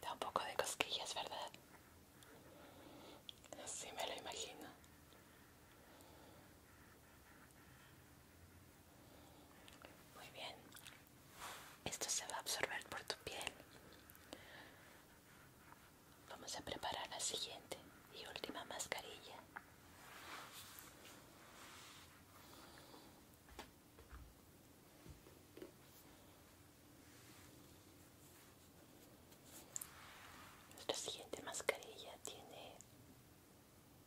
Da un poco de cosquillas, ¿verdad? Así me lo imagino. Muy bien. Esto se va a absorber por tu piel. Vamos a preparar la siguiente y última mascarilla. Nuestra siguiente mascarilla tiene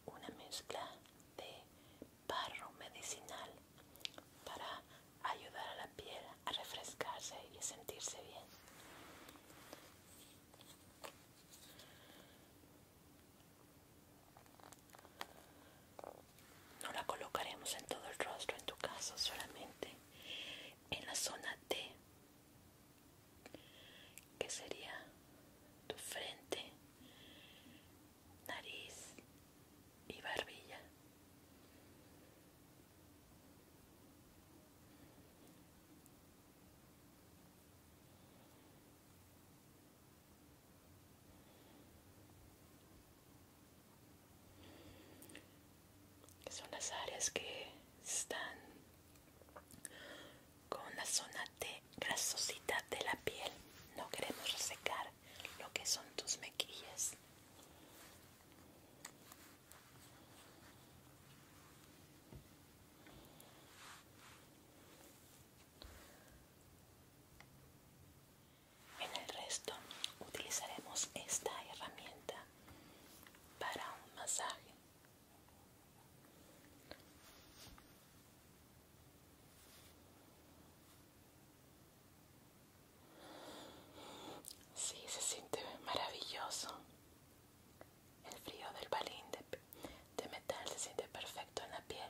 una mezcla de barro medicinal para ayudar a la piel a refrescarse y a sentirse bien. No la colocaremos en todo el rostro en tu caso, solamente en la zona T que sería tu frente, nariz y barbilla que son las áreas que están con la zona de grasosidad de la piel. No queremos resecar lo que son tus mequillas. En el resto utilizaremos esta herramienta para un masaje. Sí, se siente maravilloso. El frío del balín de, metal se siente perfecto en la piel.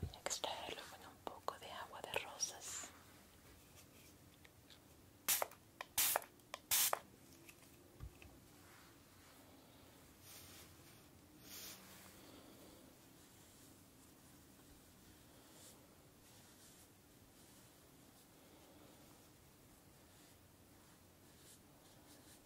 Voy a extraerlo con un poco de agua de rosas.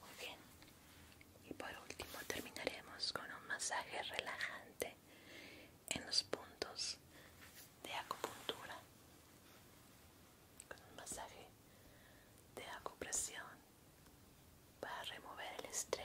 Muy bien. Y por último terminaremos con un masaje relajante en los puntos de acupuntura. Con un masaje de acupresión para remover el estrés.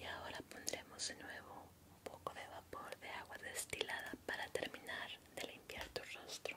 Y ahora pondremos de nuevo un poco de vapor de agua destilada para terminar de limpiar tu rostro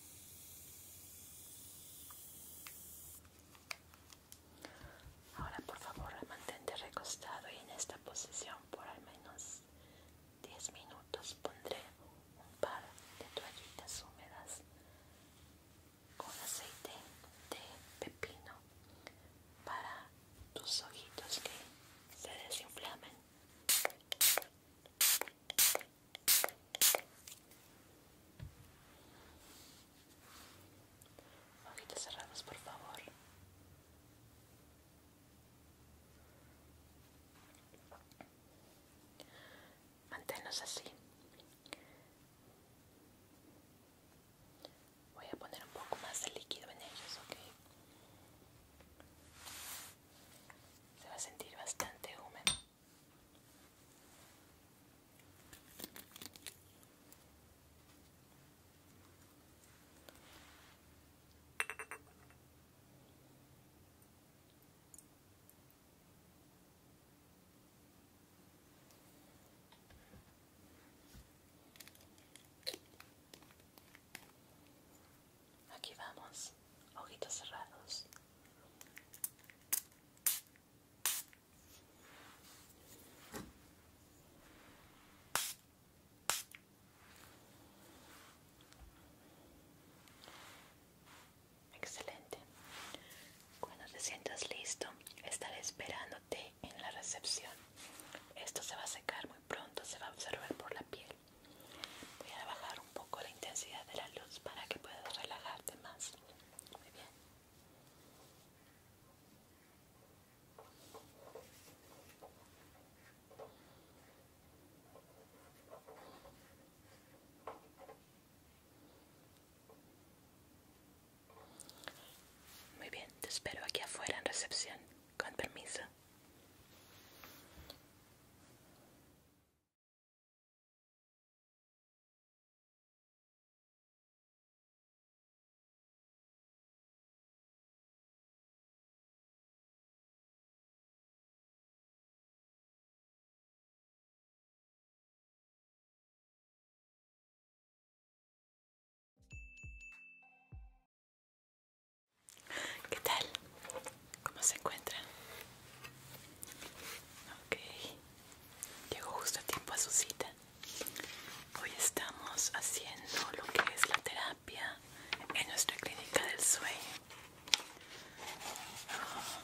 Ahora por favor mantente recostado y en esta posición por al menos 10 minutos pondré un par de toallitas húmedas con aceite de pepino para tus ojitos que se desinflamen. Ojitos cerrados, por favor. Manténnos así. Voy a poner un poco más de líquido en ellos, ¿ok? Se va a sentir bastante húmedo. Aquí vamos, ojitos cerrados. Excelente. Cuando te sientas listo, estaré esperándote en la recepción. Esto se va a secar muy pronto, se va a observar por la piel. Voy a bajar un poco la intensidad de la luz para que puedas relajarte más. Muy bien. Muy bien, te espero aquí afuera en recepción. Con permiso. ¿Qué tal? ¿Cómo se encuentra? Ok, llegó justo a tiempo a su cita. Hoy estamos haciendo lo que es la terapia en nuestra clínica del sueño. Ah,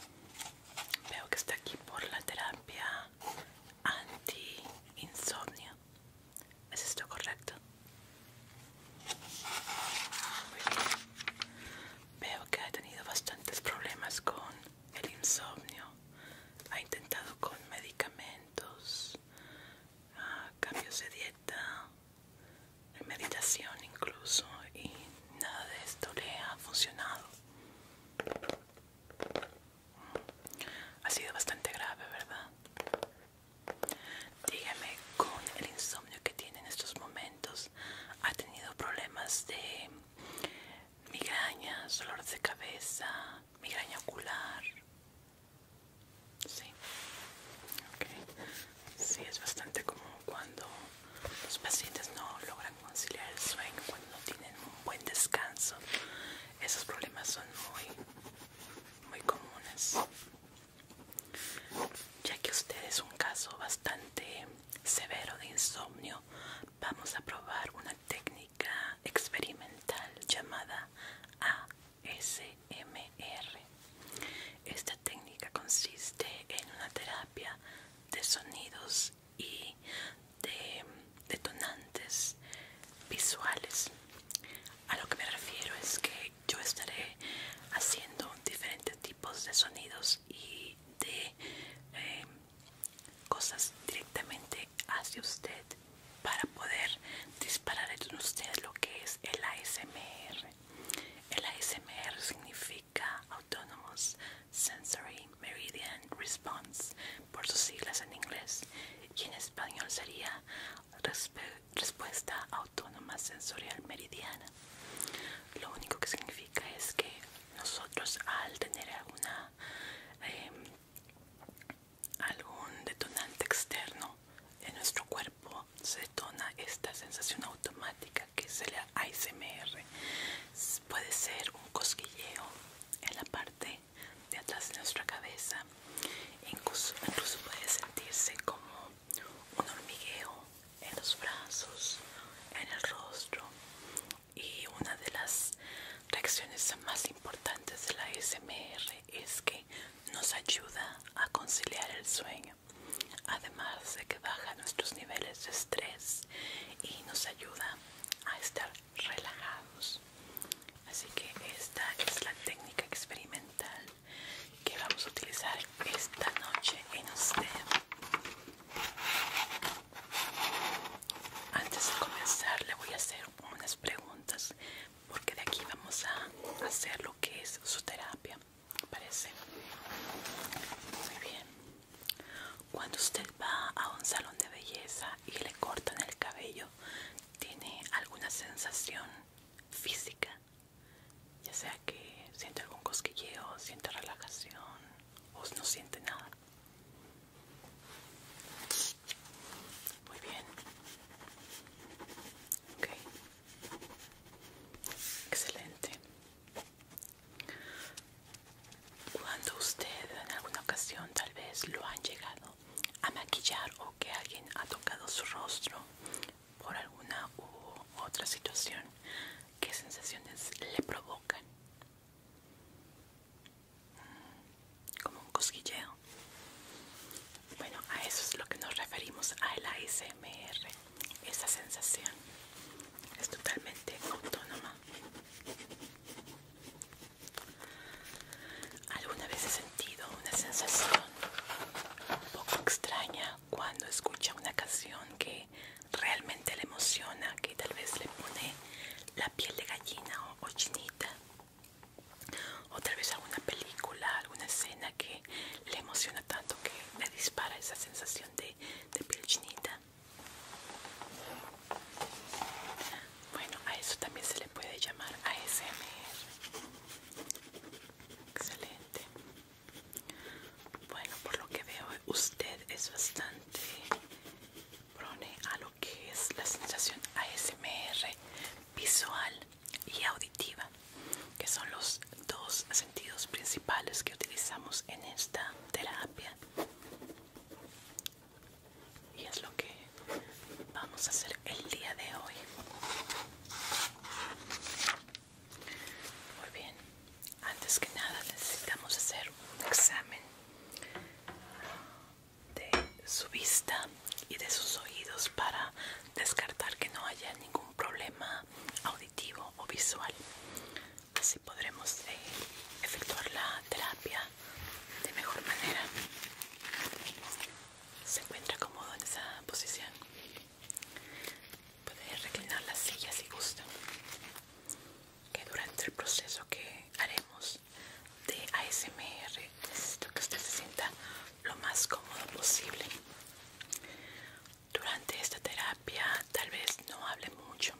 veo que está aquí por la terapia anti-insomnio. ¿Es esto correcto? Veo que ha tenido bastantes problemas con el insomnio. Ha intentado con medicamentos, cambios de dieta, meditación incluso, y nada de esto le ha funcionado. Ha sido bastante grave, ¿verdad? Dígame, con el insomnio que tiene en estos momentos, ¿ha tenido problemas de migrañas, dolor de cabeza, migraña ocular. Sí, es bastante común cuando los pacientes no logran conciliar el sueño, cuando no tienen un buen descanso. Esos problemas son muy, muy comunes. Ya que usted es un caso bastante severo de insomnio, vamos a probar una técnica experimental llamada ASMR. Esta técnica consiste en una terapia de sonidos y de detonantes visuales. A lo que me refiero es que yo estaré haciendo diferentes tipos de sonidos y de em, cosas directamente hacia usted para poder disparar en usted lo que es el ASMR. El ASMR significa Autonomous Sensory Meridian Response por sus siglas en inglés y en español sería Respuesta Autónoma Sensorial Meridiana. Lo único que significa es que nosotros al tener alguna em, algún detonante externo en nuestro cuerpo se detona esta sensación automática que es el ASMR puede ser un cosquilleo en la parte de atrás de nuestra cabeza incluso puede sentirse como un hormigueo en los brazos, en el rostro. Y una de las reacciones más importantes de la SMR es que nos ayuda a conciliar el sueño, además de que baja nuestros niveles de estrés y nos ayuda a estar relajados. Así que esta es la técnica experimental que vamos a utilizar esta noche en usted. Antes de comenzar le voy a hacer unas preguntas porque de aquí vamos a hacer lo que es su terapia, parece? Muy bien. Cuando usted va a un salón de belleza y le cortan el cabello, ¿tiene alguna sensación física? Ya sea que siente algún cosquilleo, siente relajación o no siente nada. Muy bien. Excelente. Cuando usted en alguna ocasión tal vez lo han llegado a maquillar o que alguien ha tocado su rostro por alguna u otra situación, ¿qué sensaciones le provocan? Mm, como un cosquilleo. Bueno, a eso es lo que nos referimos A al ASMR. Esa sensación es totalmente autónoma. Alguna vez he sentido una sensación un poco extraña cuando escucha una canción que realmente le emociona, que tal vez le pone la piel de gallina o, chinita, o tal vez alguna película, alguna escena que le emociona tanto que le dispara esa sensación de, de piel chinita. Bueno, a eso también se le puede llamar ASMR. Excelente. Bueno, por lo que veo, usted es bastante prone a lo que es la sensación ASMR visual y auditiva, que son los dos sentidos principales que utilizamos en esta terapia. Y es lo que vamos a hacer el día de hoy. Muy bien antes que nada necesitamos hacer un examen de su vista y de sus oídos para descartar que no haya ningún problema auditivo o visual. Así podremos eh, efectuar la terapia de mejor manera. ¿Se encuentra cómodo en esa posición? Puede reclinar la silla si gusta que durante el proceso que haremos de ASMR necesito que usted se sienta lo más cómodo posible. Durante esta terapia tal vez no hable mucho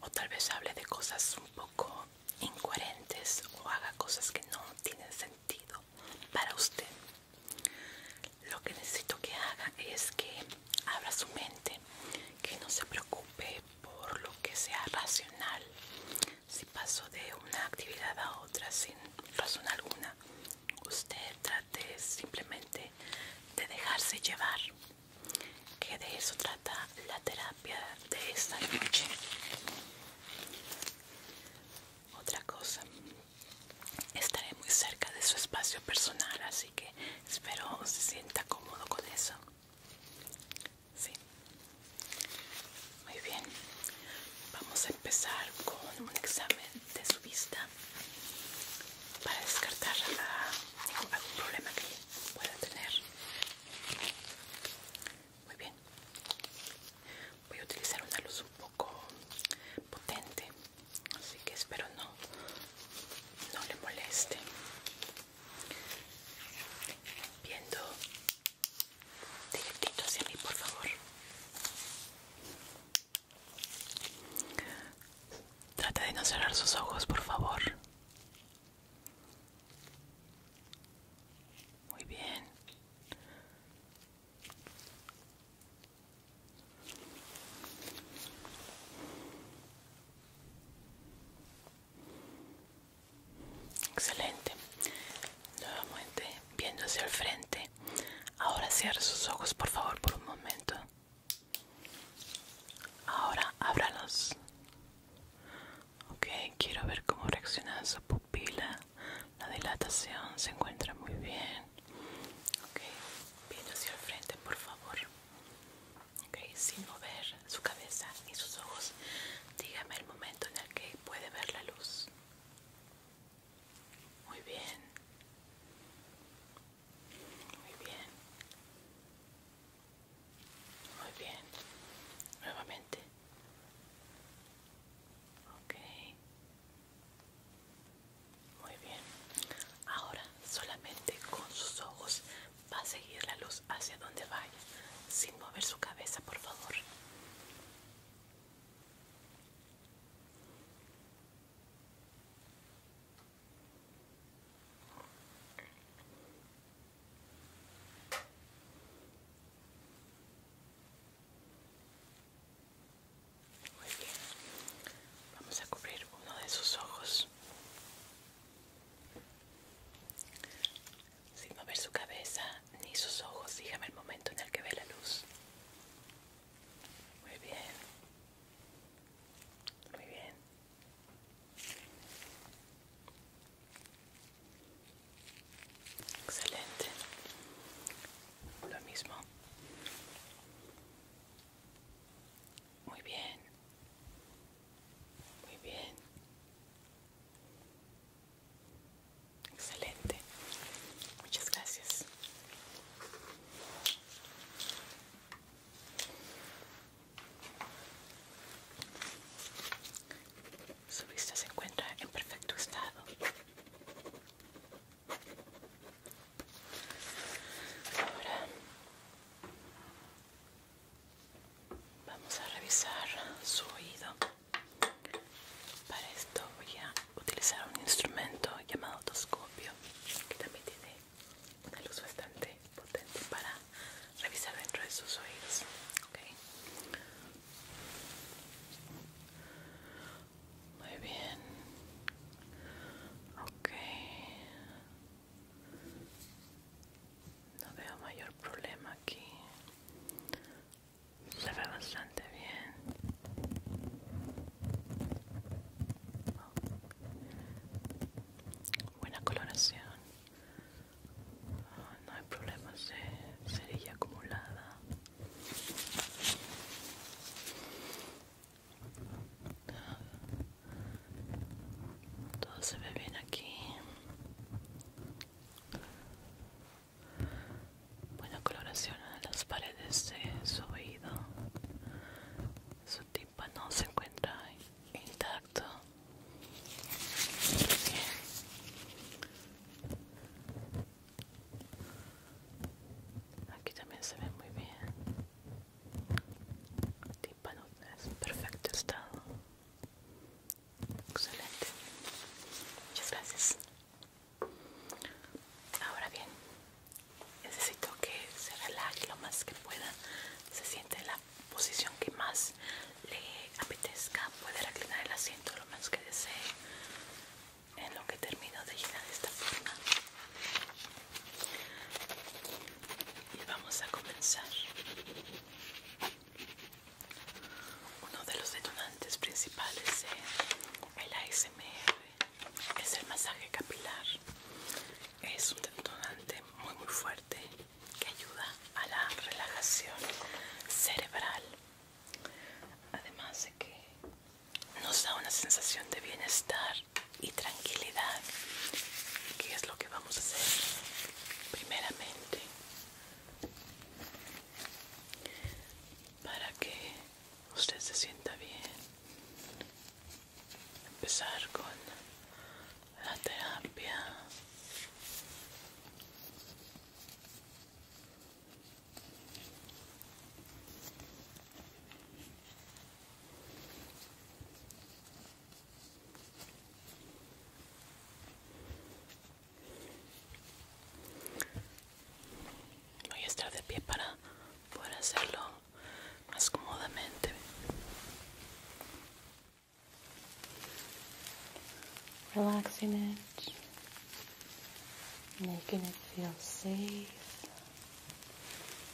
o tal vez hable de cosas un poco incoherentes o haga cosas que no tienen sentido para usted. Lo que necesito que haga es que abra su mente, que no se preocupe por lo que sea racional. Si paso de una actividad a otra sin razón alguna, usted trate simplemente de dejarse llevar, que de eso trata la terapia de esta noche. Otra cosa, estaré muy cerca de su espacio personal, así así que espero se sienta cómodo con eso sí muy bien vamos a empezar con un examen de su vista para descartar ah, algún problema que pueda tener muy bien voy a utilizar una luz un poco potente así que espero no no le moleste viendo directito hacia mí por favor trata de no cerrar sus ojos por favor muy bien Excelente. Nuevamente viendo hacia el frente. Ahora cierra sus ojos por favor por un momento. Ahora ábralos. Ok, quiero ver cómo reacciona su pupila. La dilatación se encuentra muy bien. Ok, viendo hacia el frente por favor. Ok, sin mover su cabeza ni sus ojos. Dígame el momento en el que puede ver la luz. Muy bien. Muy bien. Muy bien. Nuevamente. Ok. Muy bien. Ahora solamente con sus ojos va a seguir la luz hacia donde vaya, sin mover su cabeza, por favor. Muy bien, vamos a cubrir uno de sus ojos. Sin mover su cabeza ni sus ojos, dígame el momento en el que ve la luz. Muy bien. Muy bien. Excelente. Lo mismo. Muy bien. Muy bien. Excelente. Muchas gracias. Su vista se encuentra en perfecto estado. Ahora Vamos a revisar su oído. Para esto voy a utilizar un instrumento llamado otoscopio, que también tiene una luz bastante potente para revisar dentro de sus oídos. Muy bien. Ok. No veo mayor problema aquí. Se ve bastante bien. Oh. Buena coloración. no hay problemas de cerilla acumulada todo se ve bien aquí buena coloración en las paredes de su oído su no se encuentra intacto aquí también se ve muy bien tímpano es perfecto estado excelente muchas gracias ahora bien necesito que se relaje lo más que pueda se siente en la posición que más le apetezca puede reclinar el asiento lo menos que desee en lo que termino de de esta forma y vamos a comenzar. Uno de los detonantes principales es el ASMR es el masaje capilar. Es un detonante muy muy fuerte que ayuda a la relajación cerebral. Además de que nos da una sensación de bienestar y tranquilidad. que es lo que vamos a hacer? Primeramente, para que usted se sienta bien, empezar con la terapia. Voy a estar de pie para poder hacerlo más cómodamente. Relaxing it, making it feel safe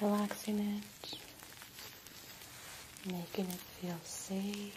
Relaxing it, making it feel safe.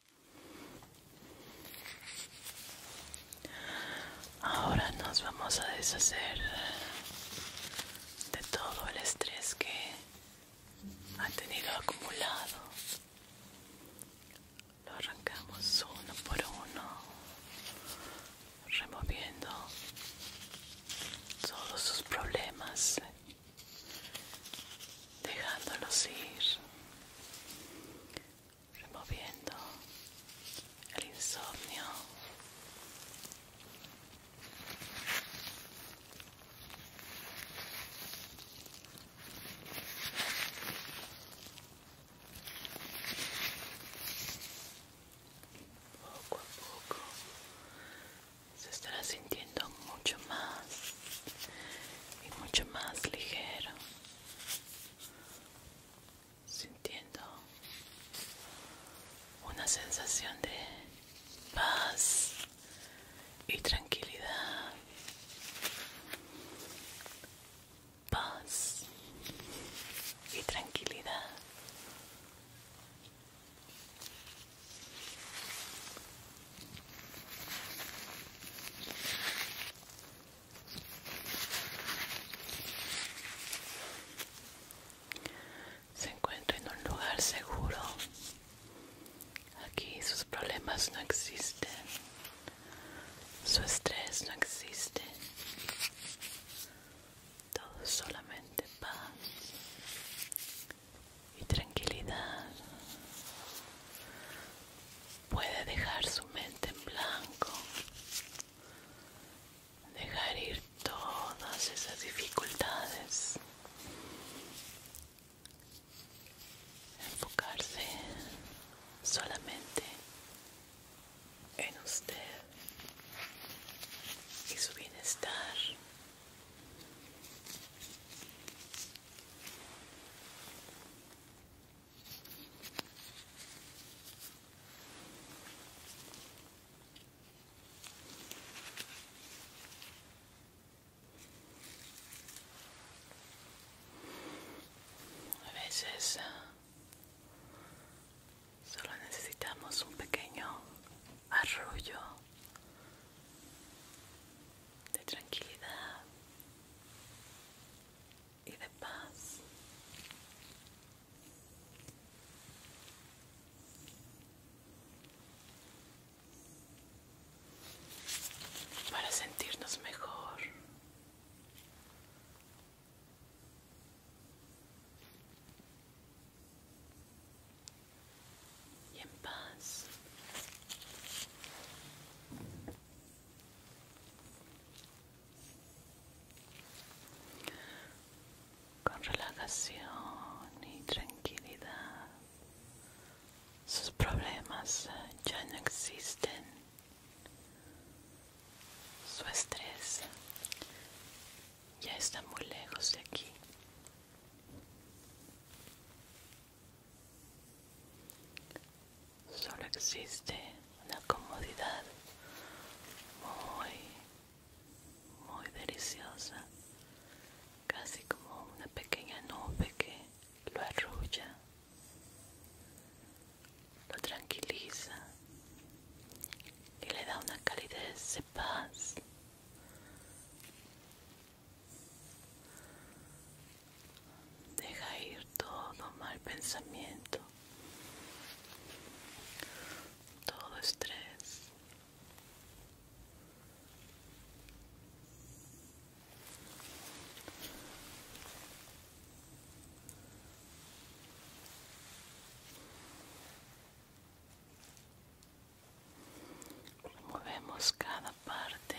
Ahora nos vamos a deshacer de todo el estrés que ha tenido acumulado. Lo arrancamos uno por uno, removiendo todos sus problemas dejándolos ir, removiendo el insomnio. Poco a poco se estará sintiendo mucho más y mucho más ligero sintiendo una sensación de paz y tranquilidad paz y tranquilidad se encuentra en un lugar seguro. Aquí sus problemas no existen. Su estrés no existe. Todo solamente paz y tranquilidad. Puede dejar su mente en blanco, dejar ir todas esas dificultades, enfocarse solamente en usted y su bienestar. A veces eh, solo necesitamos un pequeño arrullo de tranquilidad y de paz. Para sentirnos mejor. Y en paz. Con relajación y tranquilidad, sus problemas ya no existen. Su estrés ya está muy lejos de aquí. Solo existe una comodidad muy, muy deliciosa, casi como una pequeña nube que lo arrulla, lo tranquiliza y le da una calidez de paz Deja ir todo mal pensamiento, todo estrés. Movemos cada parte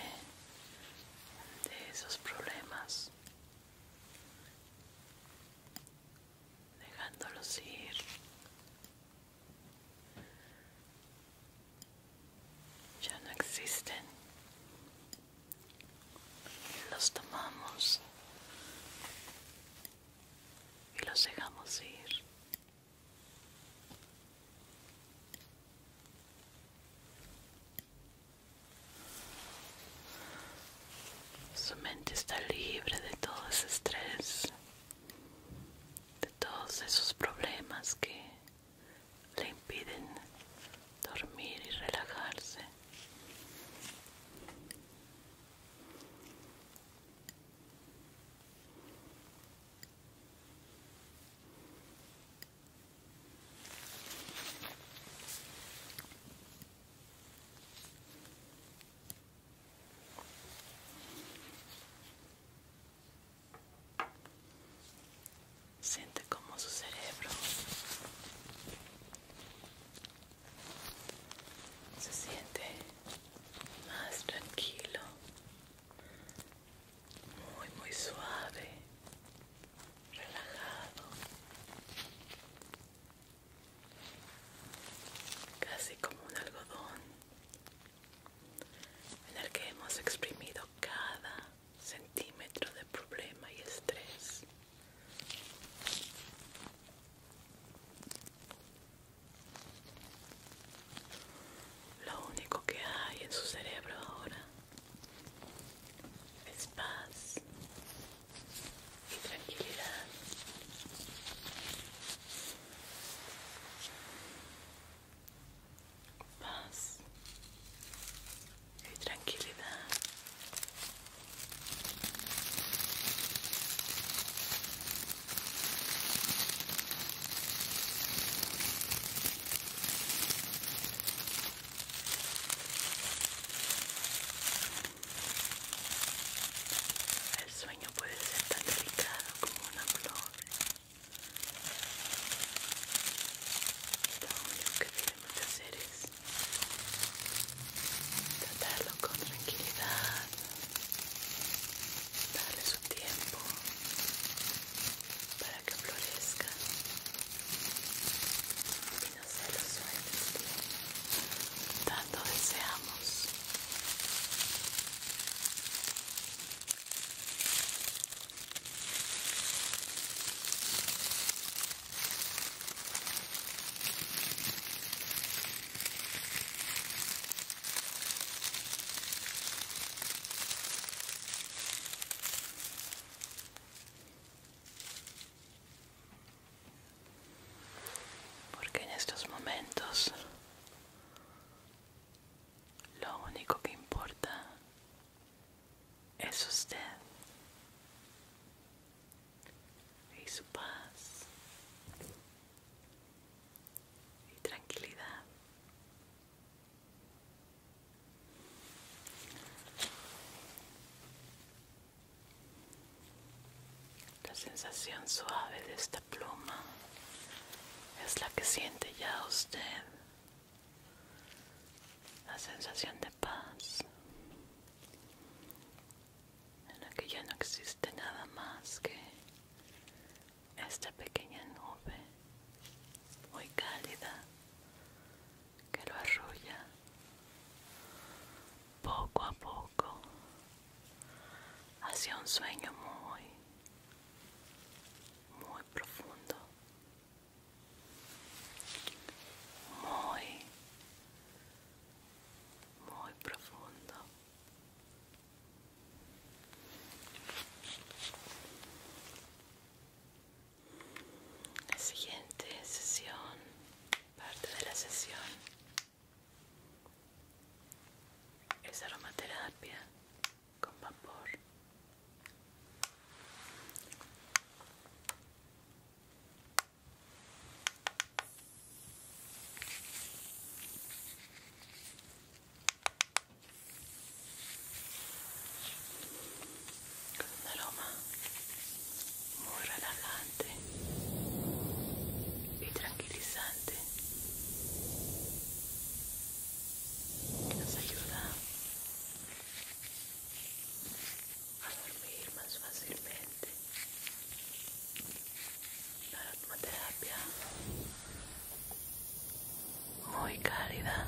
de esos problemas, dejándolos ir. Ya no existen. Los tomamos y los dejamos ir. Su mente está libre de todo ese estrés, de todos esos problemas que le impiden dormir y relajarse. Siente como su cerebro se siente más tranquilo muy muy suave relajado casi como un algodón en el que hemos exprimido cada centímetro de problema y estrés lo único que hay en su cerebro ahora es paz y tranquilidad. Paz y tranquilidad. El sueño puede ser tan delicado como una flor. Lo único que debemos hacer es tratarlo con tranquilidad, darle su tiempo que florezca y no se los sueños tanto deseamos. Porque en estos momentos lo único que importa es usted y su paz y tranquilidad. La sensación suave de esta pluma es la que siente ya usted. La sensación de paz en la que ya no existe nada más que esta pequeña nube muy cálida que lo arrulla poco a poco hacia un sueño muy, muy profundo, muy, muy profundo la siguiente sesión, parte de la sesión es aromaterapia con vapor. Un aroma muy relajante y tranquilizante que nos ayuda a dormir más fácilmente. La terapia muy cálida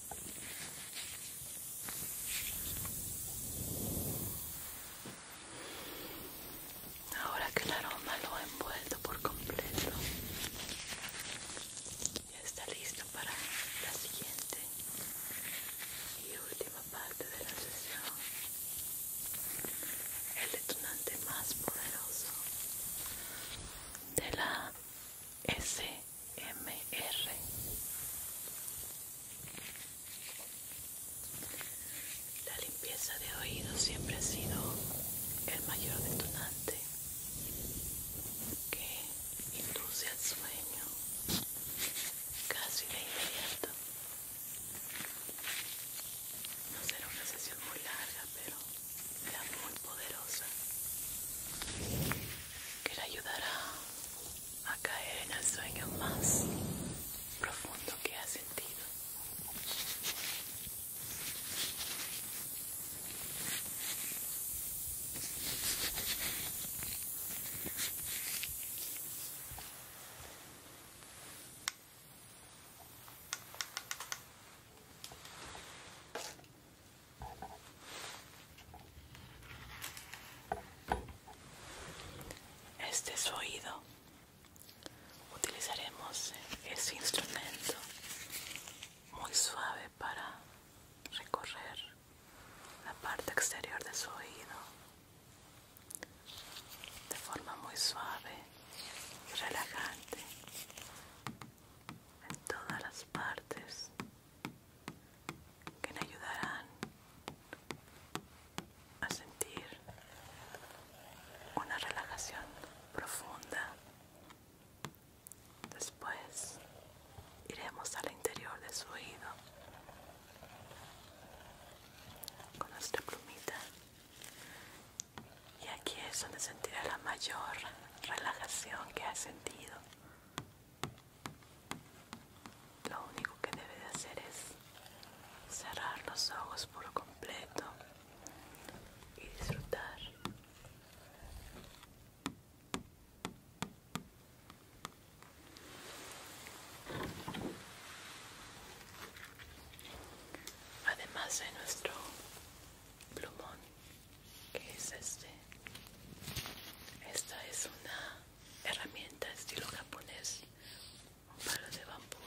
Ahora que el aroma lo ha envuelto por completo, ya está listo para la siguiente y última parte de la sesión. El detonante más poderoso de la S MR La limpieza de oídos siempre ha sido el mayor detonante que induce al sueño casi de inmediato. No será una sesión muy larga, pero será muy poderosa que le ayudará a caer en el sueño más profundo que ha sentido. Este es su oído. Utilizaremos ese instrumento muy suave para recorrer la parte exterior de su oído de forma muy suave y relajante en todas las partes que me ayudarán a sentir una relajación profunda. Después iremos al interior de su oído con nuestra plumita y aquí es donde sentirá la mayor relajación que ha sentido lo único que debe de hacer es cerrar los ojos por completo y disfrutar. Además de nuestro plumón, que es este, esta es una herramienta estilo japonés, un palo de bambú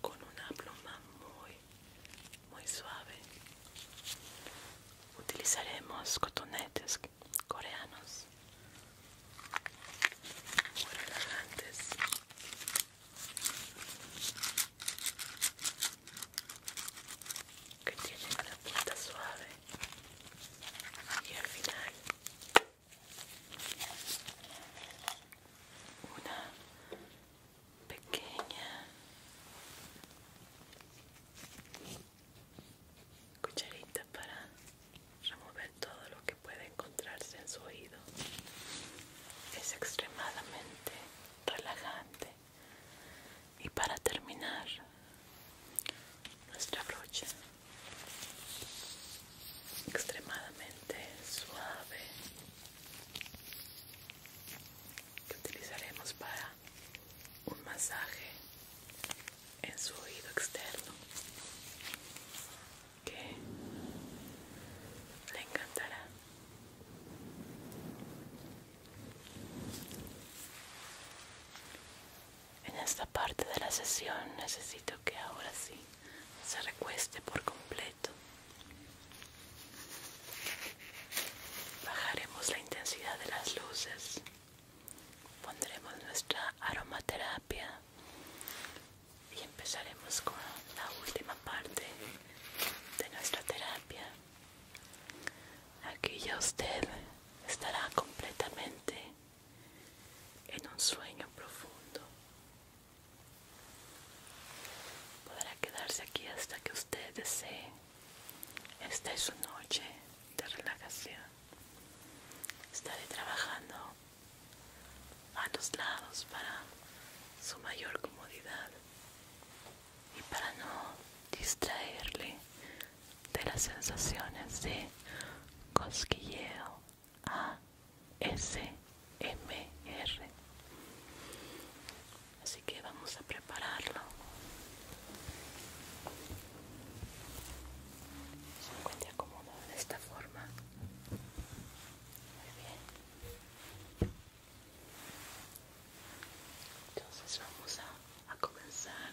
con una pluma muy, muy suave. Utilizaremos cotonetes coreanos muy relajantes. Que tienen una punta suave y al final una pequeña cucharita para remover todo lo que puede encontrarse en su oído es extremadamente relajante y para terminar nuestra brocha extremadamente suave que utilizaremos para un masaje en su oído externo que le encantará en esta parte de la sesión necesito que ahora sí se recueste por completo. Bajaremos la intensidad de las luces. Pondremos nuestra aromaterapia y empezaremos con la última parte de nuestra terapia. Aquí ya usted estará completamente en un sueño profundo. Podrá quedarse aquí hasta que usted desee. Esta es su noche de relajación. Estaré trabajando a los lados para su mayor comodidad y para no distraerle de las sensaciones de cosquilleo A S M R Así que vamos a prepararlo. Se encuentra acomodado de esta forma. Muy bien. Entonces vamos a comenzar